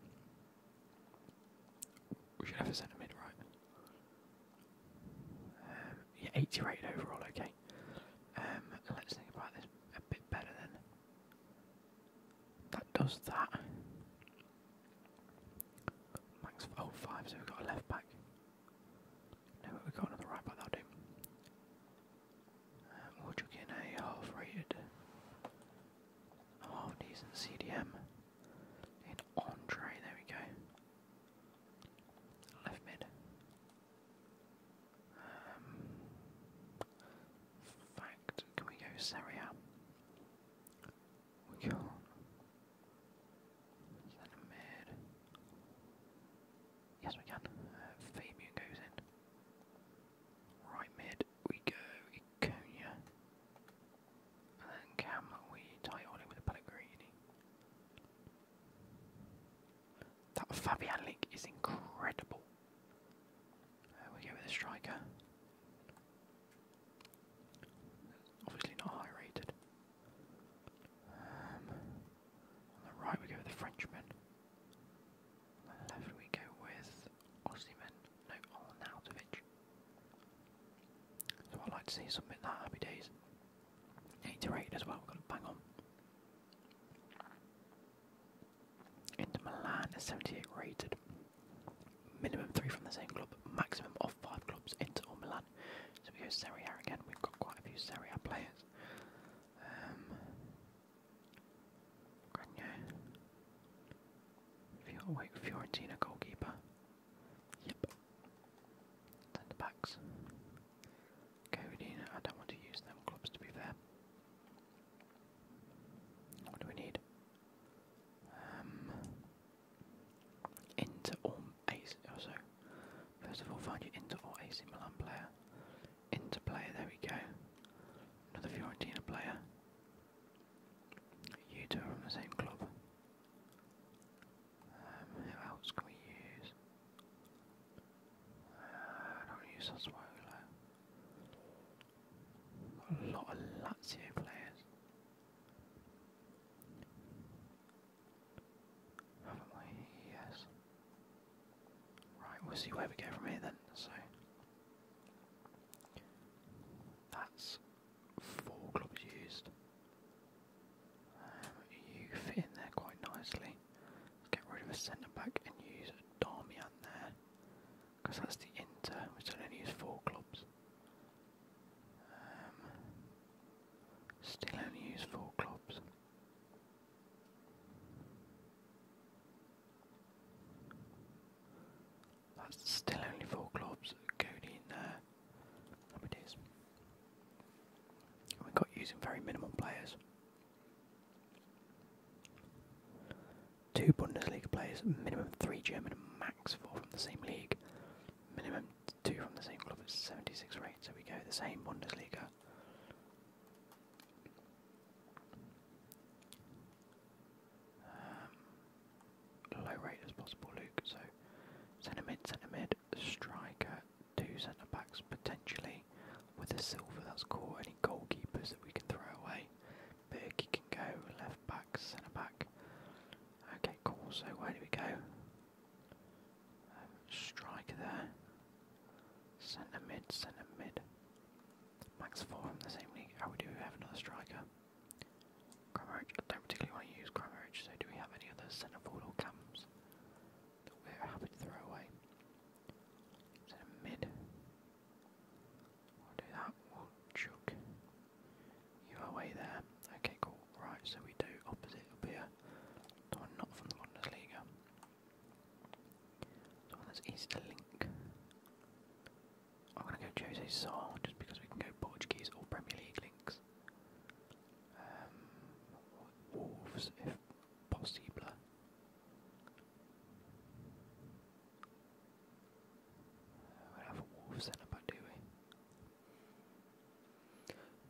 We should have a CDM, right. Um, yeah, 80 rated overall, okay. Um, let's think about this a bit better then. That does that. Max oh five, so we've got a left back. No, we've got another right back that'll do. Um, uh, in a half rated half decent CDM in Andre, there we go. Left mid. Um, fact, can we go Seria? We can Send mid. Yes, we can. Uh, Fabian goes in. Right mid, we go Iconia. And then Cam, we tie on it with Pellegrini. That Fabian link is incredible. Uh, we go with a striker. Obviously not high rated. Um, on the right we go with the Frenchman. On the left we go with Ossiman. No, Arnautovic. So I'd like to see something like Happy Days. 8 to 8 as well, we've got to bang on. Into Milan is 78 rated. Minimum 3 from the same club, maximum of 5 clubs, Inter or Milan. So we go Serie A again. We've got quite a few Serie A players. Um, Grenier. Fior oh, Fiorentina goalkeeper. Yep. Centre backs. Codina. I don't want to use them clubs to be fair. What do we need? Um, Inter or AC, oh, First of all, find your Inter or AC Milan player. Inter player, there we go. Another Fiorentina player. You two are on the same club. Um, who else can we use? Uh, don't use Sassuolo. a lot of Lazio players. Haven't we? Yes. Right, we'll see where we go from here then. So that's four clubs used. Um, you fit in there quite nicely. get rid of a centre back and use Darmian there, because that's the Inter, which will use four clubs. Um, still only use four clubs. That's still only four clubs going in there. There it is. We got using very minimal players. Two Bundesliga players, minimum three German max four from the same league. Minimum two from the same club at 76 rate, so we go the same Bundesliga. Um, low rate as possible, Luke. So centre mid, centre mid, striker, two centre backs potentially with a silver that's cool. Any goalkeepers that we can throw away. Berkey can go left back, centre back. Okay, cool. So where do we go? striker there. Centre mid, centre mid. Max four from the same league. Oh, we do have another striker. Cromerich. don't particularly want to use Cromerich. So do we have any other centre forward or cams we're happy to throw away? Centre mid. do that. we you away there. Okay, cool. Right, so we do opposite up here. The one not from the Bundesliga. The that's Easter Link. I'm gonna go Jose Sar just because we can go Portuguese or Premier League links. Um, Wolves if possible. We don't have a Wolves do we?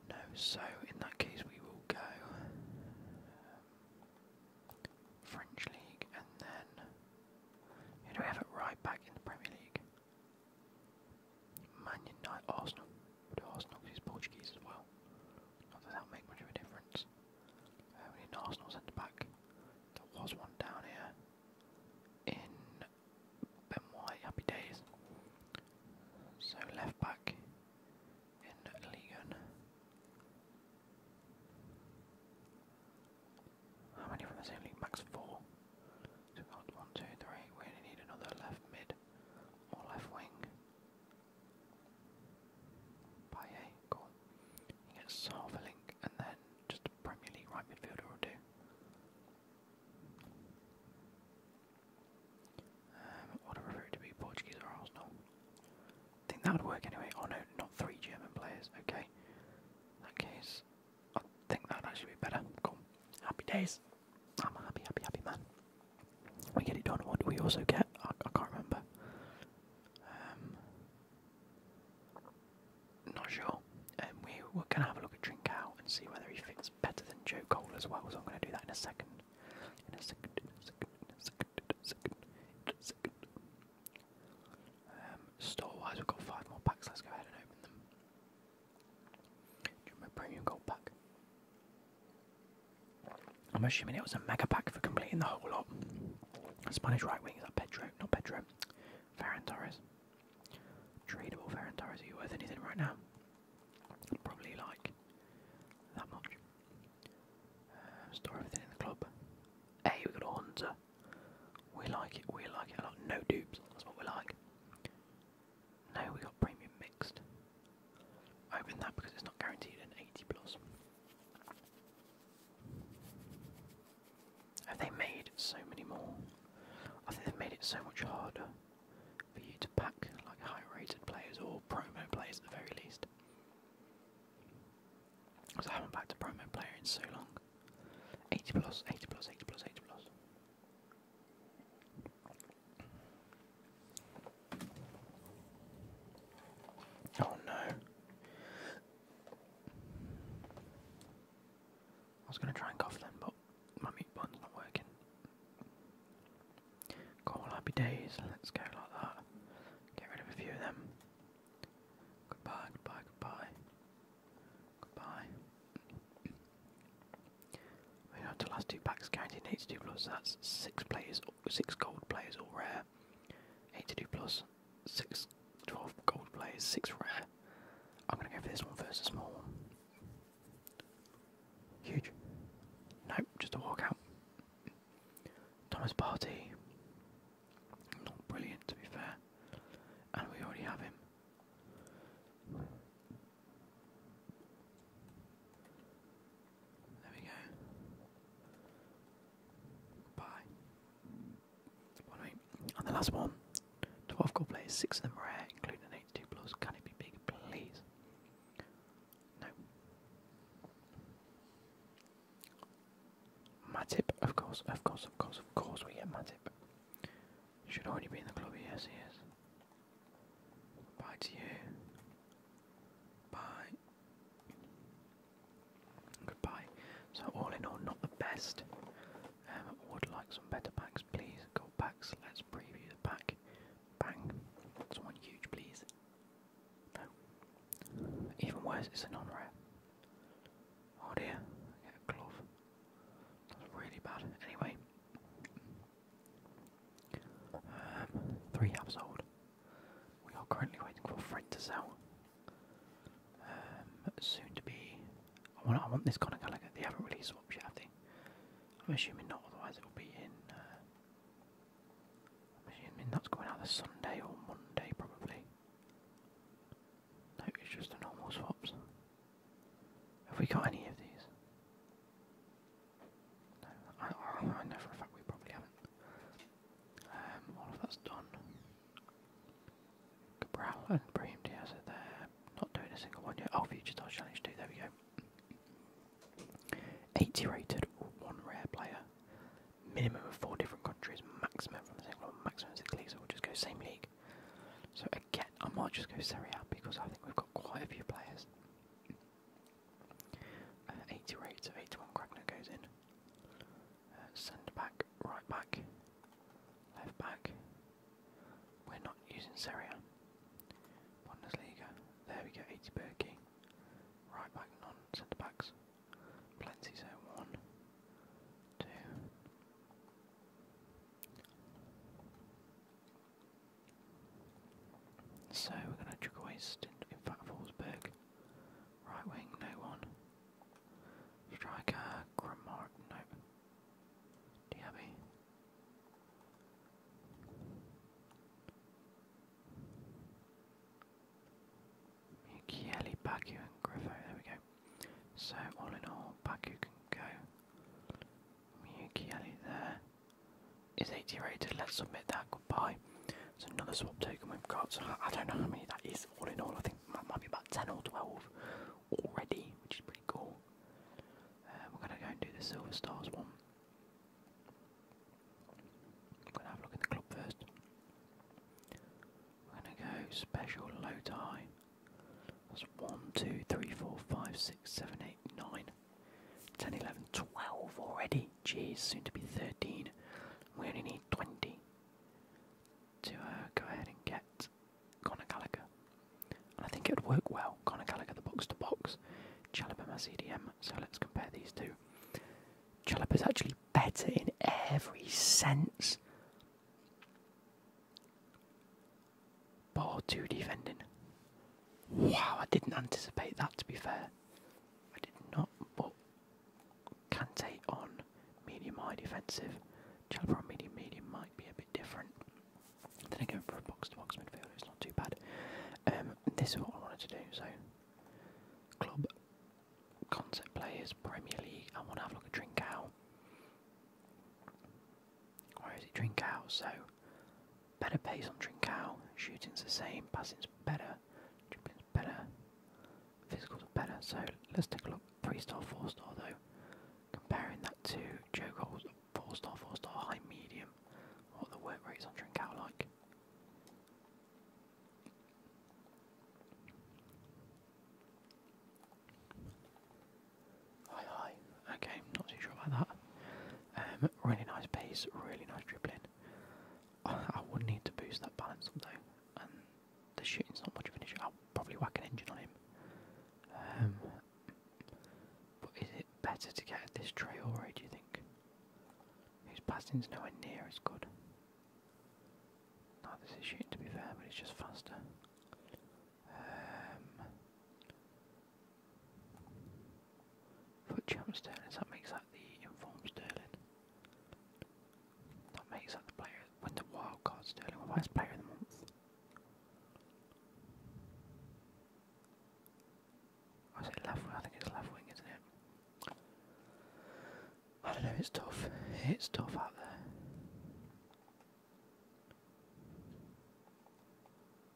No, so in that case we will go um, French League and then who do we have it right back in the Premier League? Man United, Arsenal. We'll do Arsenal because he's Portuguese as well. Not that that'll make much of a difference. Uh, we need an Arsenal centre back. There was one down here in Ben White, happy days. So left back in Legan. How many from the same league? Max four. So we got one, two, three. We need another left mid or left wing. Paye, cool. He gets half link and then just Premier League right midfielder will do what um, I prefer it to be Portuguese or Arsenal. think that would work anyway. Oh no, not three German players. Okay. that case, I think that actually be better. Cool. Happy days. I'm a happy, happy, happy man. We get it done. What do we also get? I, can't remember. Um, not sure. Um, we we have a look at Trinkau and see whether he fits better than Joe Cole as well. So I'm gonna do that in a second. In a second. In second. second. second. second. Um, store-wise, we've got five more packs. Let's go ahead and open them. Do premium gold pack? I'm assuming it was a mega pack for completing the whole lot. Spanish right wing is that Pedro, not Pedro. Ferran Torres. Tradable Ferentire, Are you worth anything right now? Probably like that much. Um, store everything in the club. Hey, we got a Hunter. We like it, we like it a lot. No dupes, that's what we like. No, we got premium mixed. Open that because it's not guaranteed an 80 plus. Have they made so many more? I think they've made it so much harder for you to pack like high-rated players or promo players at the very least. Because I haven't packed a promo player in so long. 80 plus, 80 plus, 80 plus, 80 plus. Oh no. I was gonna try and cough them, but my mute button's not working. Cool, happy days. Let's go like that. Get rid of a few of them. Goodbye, goodbye, goodbye. Goodbye. We have the last two packs guaranteed 82 plus, that's six players, six gold players all rare. 82 plus, six 12 gold players, six rare. I'm gonna go for this one first, a small Huge. Nope, just a walk out. Thomas Party. Not brilliant to be fair. And we already have him. There we go. Bye. And the last one 12 goal players, 6 of them rare, including an 82 plus. Can it be big, please? No. Matip, of course, of course, of course, of course, we get Matip. Should already be in the club, yes, he is. Bye to you. Bye. Goodbye. So all in all, not the best. Um, would like some better packs, please. Go packs. Let's preview the pack. Bang. Someone huge, please. No. Even worse, it's a non-rare. Oh dear. Get a glove. That's really bad. Anyway. Um, three halves old. We are currently waiting for Fred to sell. Um, soon to be I want this kind of Conor They haven't released swaps yet, have they? I'm assuming not. Otherwise, it will be in. Uh, I'm assuming that's going out this Sunday or Monday probably. No, it's just normal swaps. Have we got any of these? No, I, I, I know for a fact we probably haven't. Um, all of that's done. Cabral and Brahim Diaz there. Not doing a single one yet. Oh, Future Dodge Challenge 2, there we go. 80 rated, one rare player. Minimum of four different countries, maximum from the same league. so we'll just go same league. So again, I might just go Serie A because I think we've got quite a few players. Uh, 80 rated, so 81 Kragner goes in. Uh, centre back, right back, left back. We're not using Serie Bundesliga. There we go, 80 Berkey. Right back, non centre backs. Plenty so one, two. So we're going to chuck away in fact Forsberg. Right wing, no one. Striker, Grimmark, nope. Do you have and Griffo. There we go. So, all in all, Baku can go. Mikieli there is 80 rated. Let's submit that. Goodbye. It's another swap token we've got. So I don't know how many that is all in all. I think that might be about 10 or 12 already, which is pretty cool. Uh, we're gonna go and do the Silver Stars one. I'm gonna have a look at the club first. We're gonna go special low tie. That's 1, 2, 3, 4, 5, 6, 7, 8, 9, 10, 11, 12 already. Jeez, soon to be 13. We only need 20 to uh, go ahead and get Conor Gallagher. And I think it would work well. Conor Gallagher, the box to box. Chalobah, my CDM. So let's compare these two. Chalobah is actually better in every sense. Bar two defending. Wow, I didn't anticipate that to be fair. I did not, but take on medium high defensive. Chalobah on medium medium might be a bit different. Then again, for a box to box midfielder, it's not too bad. Um, this is what I wanted to do. So, club concept players, Premier League. I want to have a look at drink out. Where is it? Drink out. So, better pace on drink out. Shooting's the same. Passing's better. Dribbling's better. Physicals are better. So let's take a look. Three star, four star though. Comparing that Two Joe Gold, 4 star, 4 star, high, medium. What the work rates on Drink Out like? Hi, hi. Okay, not too sure about that. Um, really nice pace, really nice dribbling. I, would need to boost that balance up though, and the shooting's not much of an issue. I'll probably whack an engine on him. Um, but is it better to get at this trail road, do you think? His passing's nowhere near as good. No, this is to be fair, but it's just faster. Um, foot that makes that the informed Sterling. That makes that the player, when the wild Sterling, well player of the month. Oh, I say left wing, I think it's left wing, isn't it? I don't know, it's tough. It's tough out there.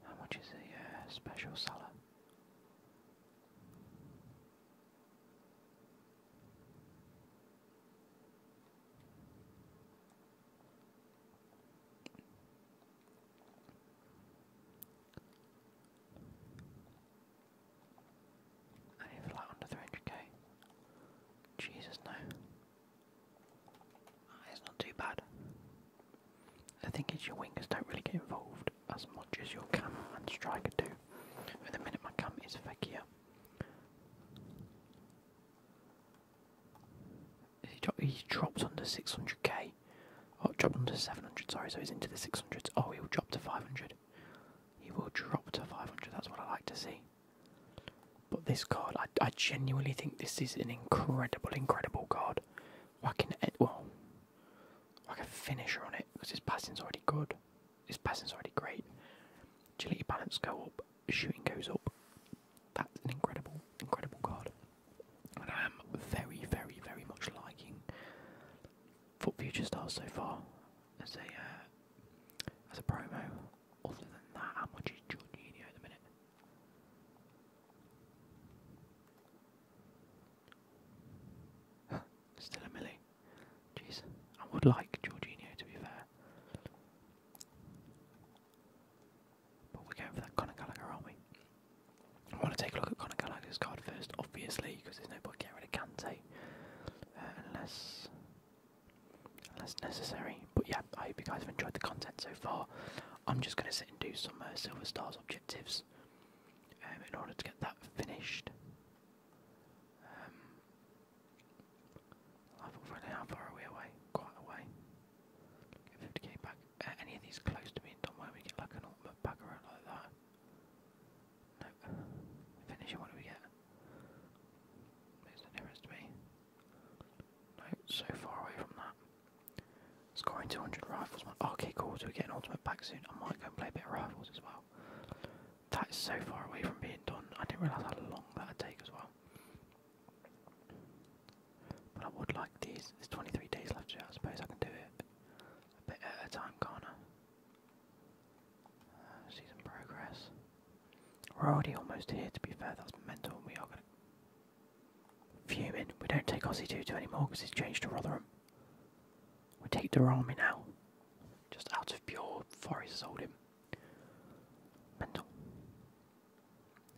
How much is the uh, special seller? And if like under 300k. Jesus, no. Ah, it's not too bad. The thing is, your wingers don't really get involved as much as your cam and striker do. At the minute, my cam is fakier. He, dropped under 600k. Oh, dropped under 700, sorry, so he's into the 600s. Oh, he'll drop to 500. He will drop to 500, that's what I like to see. But this card, I, genuinely think this is an incredible, incredible card. I can well, I can finisher on it, because his passing's already good. His passing's already great. let your balance go up, shooting goes up. That's an incredible, incredible card. And I am very, very, very much liking Foot Future Stars so far as a uh, as a promo. Other than that, how much is Jorginho at the minute? [LAUGHS] Still a milli. Jeez. I would like Jorginho to be fair. But we're going for that Conor Gallagher, aren't we? I want to take a look at Conor Gallagher's card first, obviously, because there's no point getting rid of Kante uh, unless, unless necessary. But yeah, I hope you guys have enjoyed the content so far. I'm just going to sit and do some uh, Silver Stars objectives um, in order to get that finished. Um, Level running, how far are away? Quite away. Get 50k back. any of these close to me, don't we get like an ultimate back around like that. Nope. Finishing, what do we get? Where's the nearest to me? No, so far away from that. Scoring 200 rifles. Oh, okay, cool, so we get an ultimate back soon. I might go and play a bit of rifles as well. That is so far away from being done. I didn't realise how long that would take as well. But I would like these. There's 23 days left I suppose I can do it a bit at a time, can uh, progress. We're already almost here, to be fair. That's mental. We are going to. view Fuming. We don't take Aussie 2 2 anymore because he's changed to Rotherham. We take Durami now. Just out of pure forest sold him. Mental.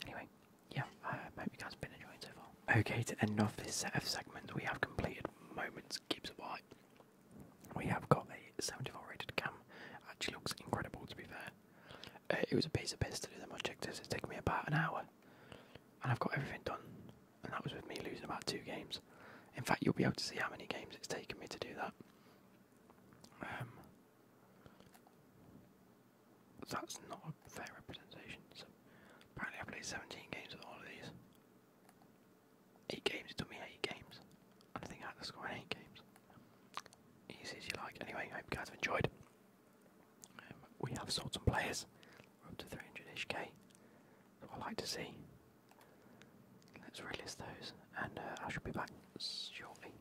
Anyway, yeah, I hope you guys have been enjoying so far. Okay, to end off this set of segments, we have completed Moments Gibbs White. We have got a 74 rated cam. Actually looks incredible, to be fair. Uh, it was a piece of piss to do them. I checked this, it's taken me about an hour. And I've got everything done. And that was with me losing about two games. In fact, you'll be able to see how many games it's taken me to do that. Um, that's not a fair representation. So apparently, I played 17 games with all of these. Eight games. It took me eight games. And I think I had to score eight games. Easy as you like. Anyway, I hope you guys have enjoyed. Um, we have sold some players. up to 300ish I That's like to see. Let's relist those, and uh, I shall be back shortly.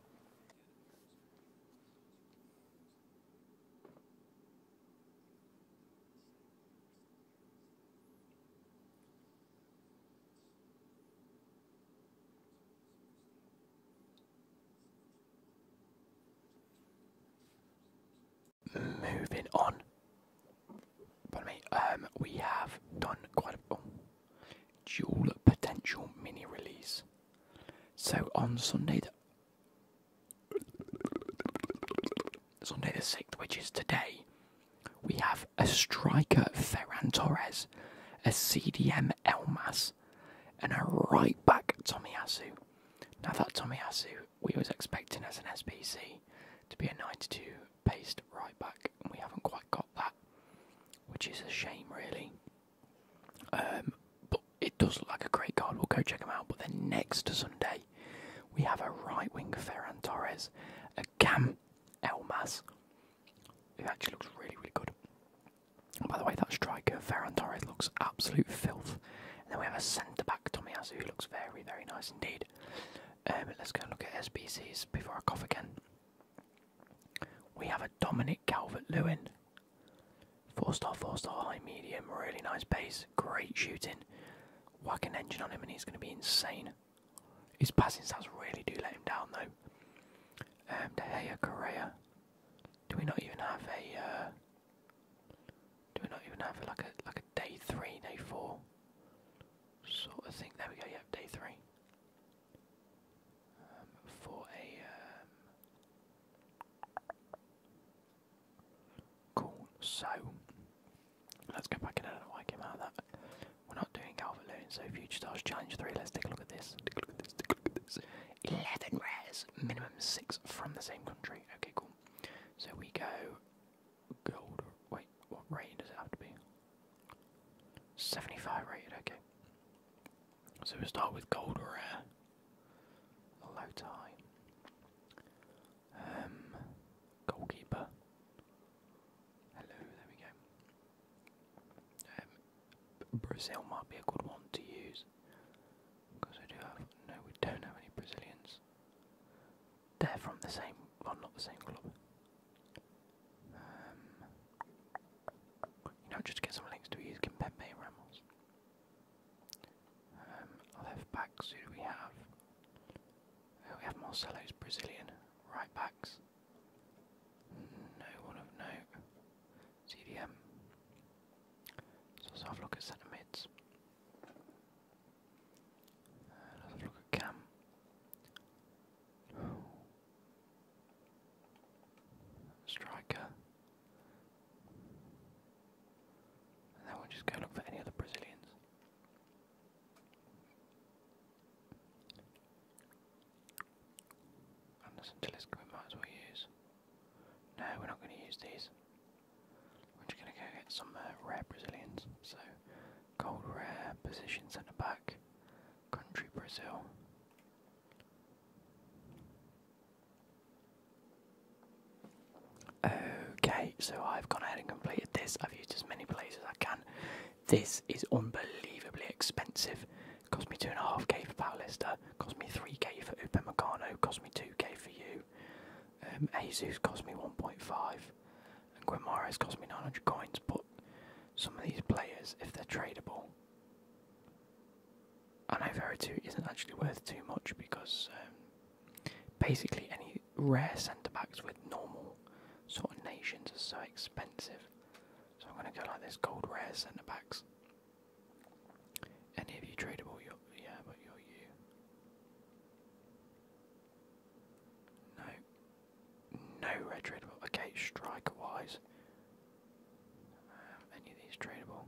Moving on, pardon me. Um, we have done quite a. Oh, dual potential mini release. So on Sunday the Sunday the 6th, which is today, we have a striker Ferran Torres, a CDM Elmas, and a right back Tommy Asu. Now that Tommy Asu, we was expecting as an SPC to be a 92 based right back, and we haven't quite got that, which is a shame really. Um, but it does look like a great card. We'll go check him out. But then next Sunday, we have a right wing Ferran Torres, a Cam Elmas, who actually looks really, really good. by the way, that striker Ferran Torres looks absolute filth. And then we have a centre back Tommy Tomiyasu who looks very, very nice indeed. Um, let's go and look at SBCs before I cough again. We have a Dominic Calvert Lewin. Four star, four star, high medium, really nice base, great shooting. Whack engine on him and he's going to be insane. His passing stats really do let him down though. Um, De Gea, Correa. Do we not even have a? Uh, do we not even have a, like a like a day three, day four sort of thing? There we go. You have day three for a um, So let's go back in. I do out that. We're not doing Calvert so Future Stars Challenge 3. Let's take a look at this. 11 rares, minimum 6 from the same country. Okay, cool. So we go gold. Wait, what rating does it have to be? 75 rated, okay. So we start with gold rare. Low time. Um, goalkeeper. Hello, there we go. Um, Brazil might be a good one to use. Because I do have. No, we don't have any Brazilians. They're from the same. Well, not the same club. Um, you know, just get some links to use Kimpembe and Ramos. Um, left backs, who do we have? Uh, we have Marcelo's Brazilian. Right backs. No one of note. CDM. let's have a look at centre mids. Uh, let's have a look at Cam. Striker. then we'll just go look for any other Brazilians. And listen we might as well use. No, we're not going to use these. We're just going to go get some uh, rare Brazilians. So, gold rare, position centre back, country Brazil. Okay, so I've gone ahead and completed this. I've used as many players as I can. This is unbelievably expensive. Cost me two and a half K for Pallister, cost me three K for Upamecano, cost me two K for you. Um Asus cost me one point five and Guimaraes cost me nine hundred coins, but some of these players, if they're tradable, I know Vera 2 isn't actually worth too much because um, basically any rare centre backs with normal sort of nations are so expensive. So I'm going to go like this gold rare centre backs. Any of you tradeable? yeah, but you're you. No, no red tradable. Okay, striker wise. Um, any of these tradable?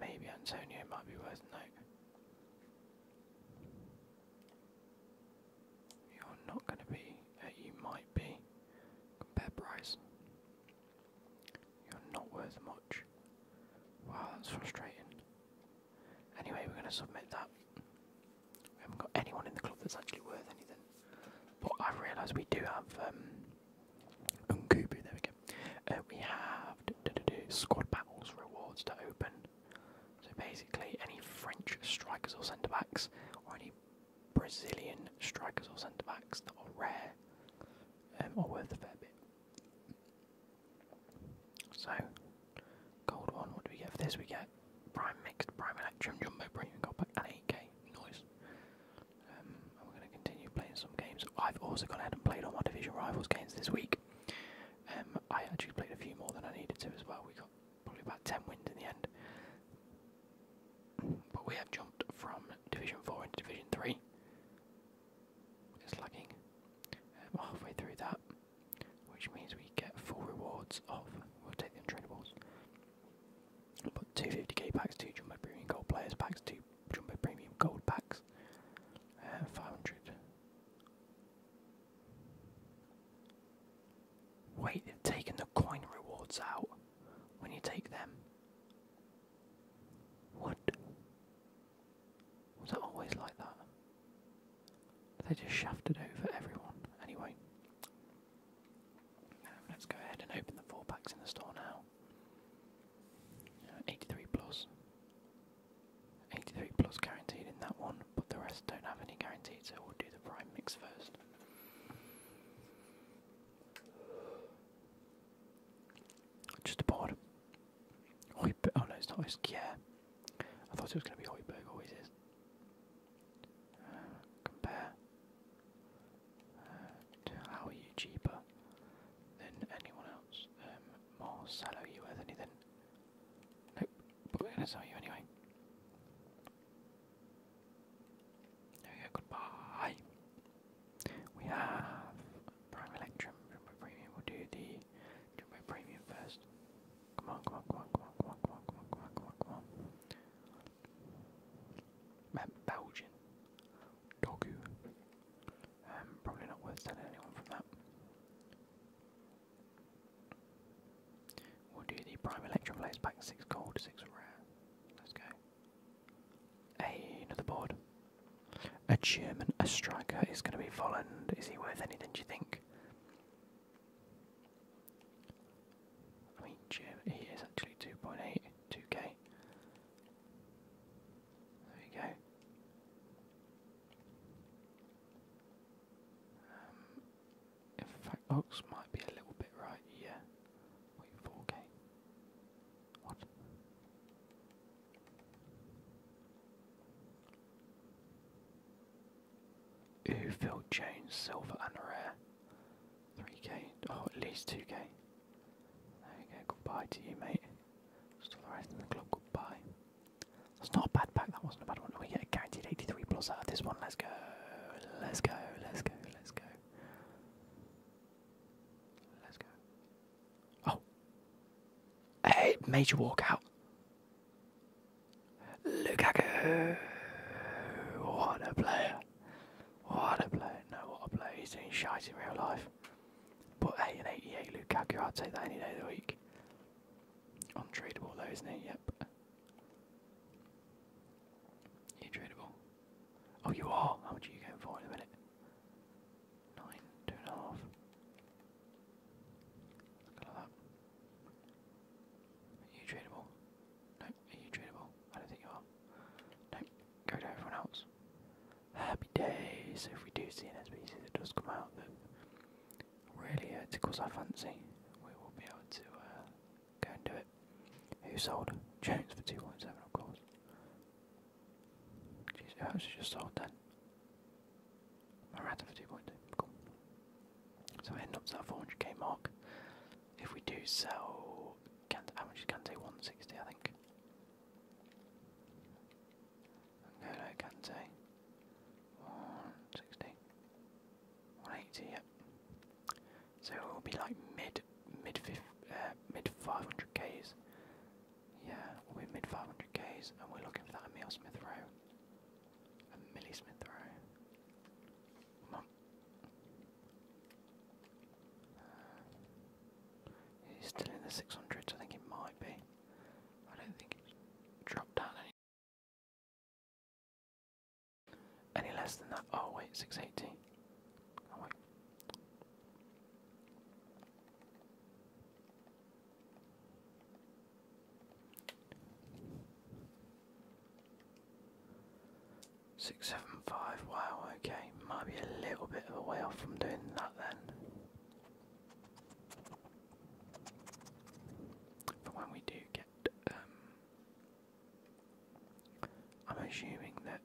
maybe Antonio might be worth a You're not going to be, uh, you might be, compare price. You're not worth much. Wow, that's frustrating. Anyway, we're going to submit that. We haven't got anyone in the club that's actually worth anything. But I've realised we do have um, there we go. Uh, we have squad battles rewards to open. So basically, any French strikers or centre backs, or any Brazilian strikers or centre backs that are rare um, are worth a fair bit. So Gold one, what do we get for this? We get Prime Mixed, Prime Electrum, Jumbo Premium Gold Pack, 8k. Nice. Um, and we're going to continue playing some games. I've also gone ahead and played all my Division Rivals games this week. Um, I actually played a few more than I needed to as well. We got probably about 10 wins in the end. But we have jumped from Division 4 into Division 3. It's lagging. Um, halfway through that which means we get full rewards of, we'll take the untradeables, but 250k packs, 2 Jumbo Premium Gold Players packs, 2 Jumbo Premium Gold packs, and 500. Wait, they've taken the coin rewards out when you take them. What? Was that always like that? They just shafted over everyone. Anyway, um, let's go ahead and open the four packs in the store now. Uh, 83 83 plus guaranteed in that one, but the rest don't have any guaranteed, so we'll do the prime mix first. Just a board. Oh no, it's not. yeah. I thought it was going to be Hoiberg. Always is compare uh, how are you cheaper than anyone else? Um, more sallow you worth anything? Nope, but we're gonna sell you anyway. There goodbye. We have Prime Electrum Premium, we'll do the do my premium first. Come on, come on, come on, come on, come on, come on, come on, come on, come on, come Belgian. Dogu. Um, probably not worth telling anyone from that. We'll do the prime electron blaze back six gold, six rare. Let's go. another board. A German, a striker is going to be Volland. Is he worth anything? Do you think? I mean, Germany is actually two point eight two k There we go. Um, in fact, Ox might be a little bit right, yeah. 4k. What? Ooh, Phil Jones, silver and rare. 3k, oh, at least 2k. There you go, goodbye to you, mate. Still the rest of the club, goodbye. That's not a bad pack, that wasn't a bad one. We get a guaranteed 83 plus out of this one, let's go. Let's go, let's go, let's go. Let's go. Oh! Hey, major walkout. Lukaku. What a player. What a player. No, what a player. He's doing shit in real life. But hey, an 88 Lukaku, I'd take that any day of the week. Untradeable though, isn't it? Yep. You're tradable. Oh, you are? How much are you going for in a minute? Nine, two and a half. Are you tradable? No, are you tradable? I don't think you are. No, go to everyone else. Happy days. So if we do see an species that does come out that really uh, tickles our fancy, we will be able to uh, go and do it. Who sold? Jones for 2.7 of course. Jeez, who actually just sold that? I for 2.2, cool. So we're up to that 400k mark. If we do sell, how much is Kante? 160, I think. No, no, Kante. yep. So it will be like mid, mid, uh, mid 500ks. Yeah, we'll mid 500ks, and we're looking for that Emil Smith row. A Millie Smith Rowe. Come on. Uh, he's still in the 600s, I think it might be. I don't think it's dropped down any. Any less than that? Oh wait, 680. Oh wait. Six, seven, five. Wow, okay. Might be a little bit of a way off from doing that then. But when we do get, um, I'm assuming that.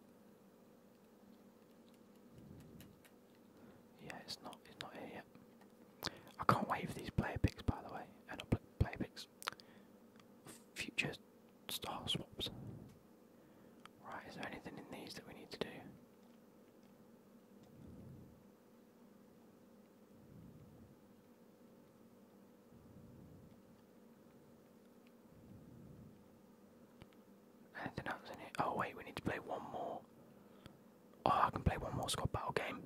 Yeah, it's not. It's not here I can't wait for these player picks, by the way, and I'll player picks. Future star swaps. Right, is there anything in these that we need to do? Anything else in it? Oh wait, we need to play one more. Oh, I can play one more squad battle game.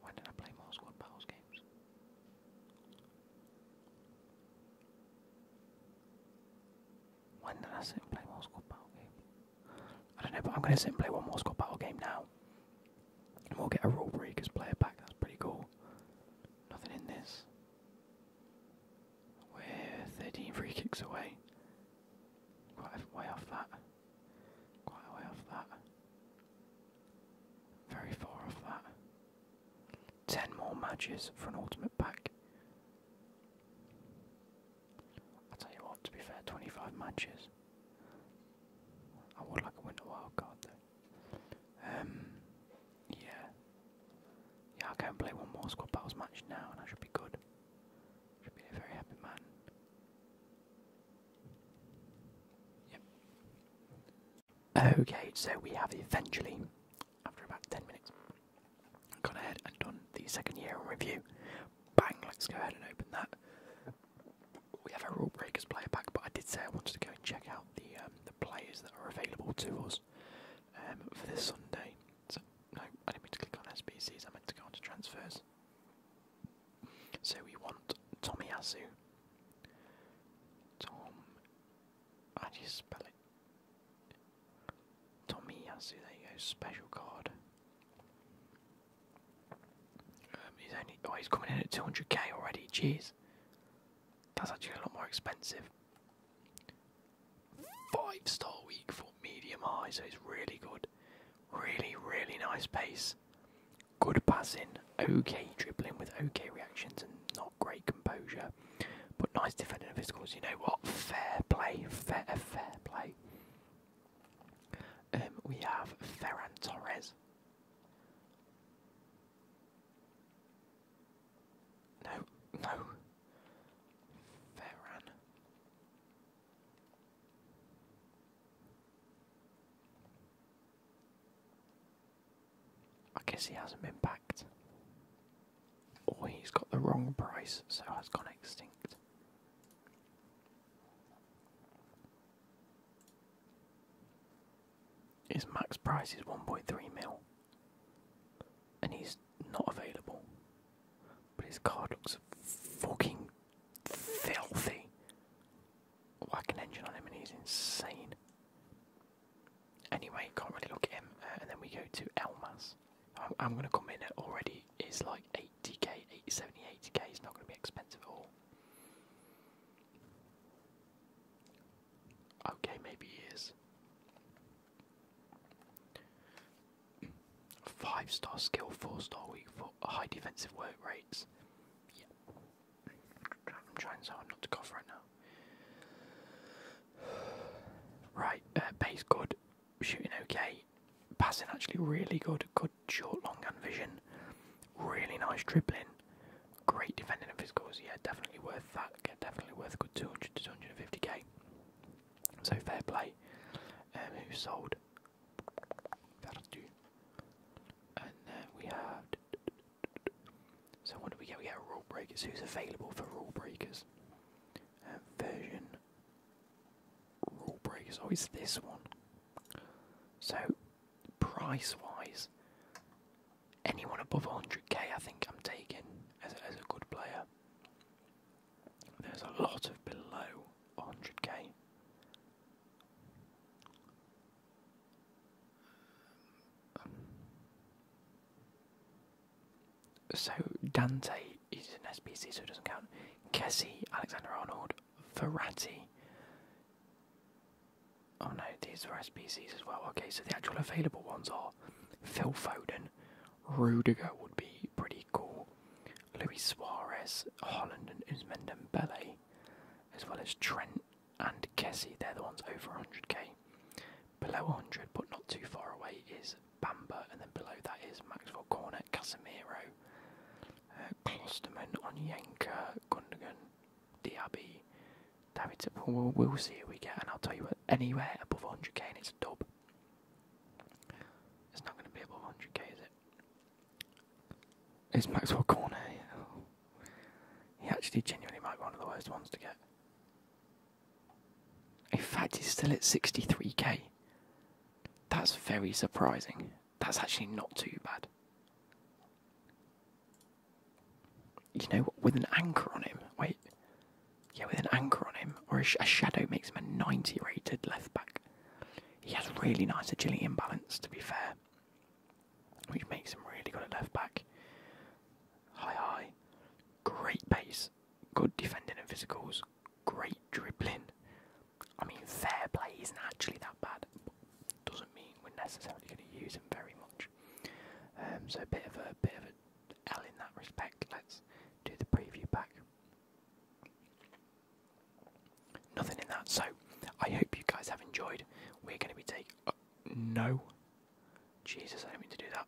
Why did I play more squad battles games? When did I sit and play more squad battle game? I don't know, but I'm going to sit and play one more squad battle game now. And we'll get a rule breakers player back. That's pretty cool. Nothing in this. We're 13 free kicks away. Quite way off that. Quite way off that. Very far off that. Ten more matches for an ultimate pack. I'll tell you what, to be fair, 25 matches. I would like a winter wild card though. Um, yeah. Yeah, I can play one more squad battles match now and I should be good. Okay, so we have eventually, after about 10 minutes, gone ahead and done the second year review. Bang, let's go ahead and open that. We have a Rule Breakers player back, but I did say I wanted to go and check out the, um, the players that are available to us um, for this Sunday. So, no, I didn't mean to click on SPCs. I meant to go on to transfers. So we want Tomiyasu. Tom. How do you spell it? Tomiyasu, there you go, special card. Um, he's only. Oh, he's coming in at 200k already, jeez. That's actually a lot more expensive. Five star week for medium high, so it's really good. Really, really nice pace. Good passing, okay dribbling with okay reactions and not great composure, but nice defending of his goals. You know what? Fair play, fair, fair play. Um, we have Ferran Torres. No, no. Ferran. I guess he hasn't been packed. Or he's got the wrong price, so has gone extinct. His max price is 1.3 mil. And he's not available. But his card looks fucking filthy. Whack an engine on him and he's insane. Anyway, can't really look at him. Uh, and then we go to Elmas. I'm, going to come in at already It's like 80k, 80, 70, 80k. It's not going to be expensive at all. Okay, maybe he Five star skill, four star week for high defensive work rates. Yeah. I'm trying so hard not to cough right now. Right, uh, good, shooting okay, passing actually really good, good short, long gun vision, really nice dribbling, great defending and physicals. Yeah, definitely worth that. definitely worth a good 200 to 250k. So fair play um, who sold And then uh, we have. So what do we get? We get rule breakers. Who's available for rule breakers? And uh, version rule breakers. Oh, it's this one. So price wise, anyone above 100k, I think I'm taking as as a good player. There's a lot of below 100k. so Dante is an SPC, so it doesn't count. Kessie, Alexander Arnold, Verratti. Oh no, these are SPCs as well. Okay, so the actual available ones are Phil Foden, Rudiger would be pretty cool. Luis Suarez, Holland, and Usman Dembele, as well as Trent and Kessie. They're the ones over 100k. Below 100, but not too far away, is Bamba, and then below that is Maxwell Cornet, Casemiro, uh, Klosterman, Onyenka, Gundogan, Diaby, David. Well, we'll see who we get, and I'll tell you anywhere above 100k, and it's a dub. It's not going to be above 100k, is it? It's Maxwell Cornet. He actually genuinely might be one of the worst ones to get. In fact, he's still at 63k. That's very surprising. That's actually not too bad. You know, with an anchor on him. Wait, yeah, with an anchor on him, or a, shadow makes him a 90 rated left back. He has really nice agility and balance, to be fair, which makes him really good at left back. High, high, great pace, good defending and physicals, great dribbling. I mean, fair play isn't actually that bad, but doesn't mean we're necessarily going to use him very much. Um, so a bit of a bit of a L in that respect. Let's do the preview back. Nothing in that. So I hope you guys have enjoyed. We're going to be taking. Uh, no. Jesus, I do not mean to do that.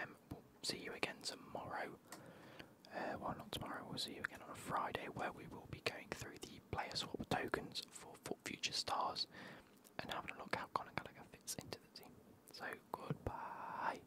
Um, we'll see you again tomorrow. Uh, well, not tomorrow. We'll see you again on Friday, where we will be going through the player swap tokens for, future stars and having a look how Conor Gallagher fits into the team. So goodbye.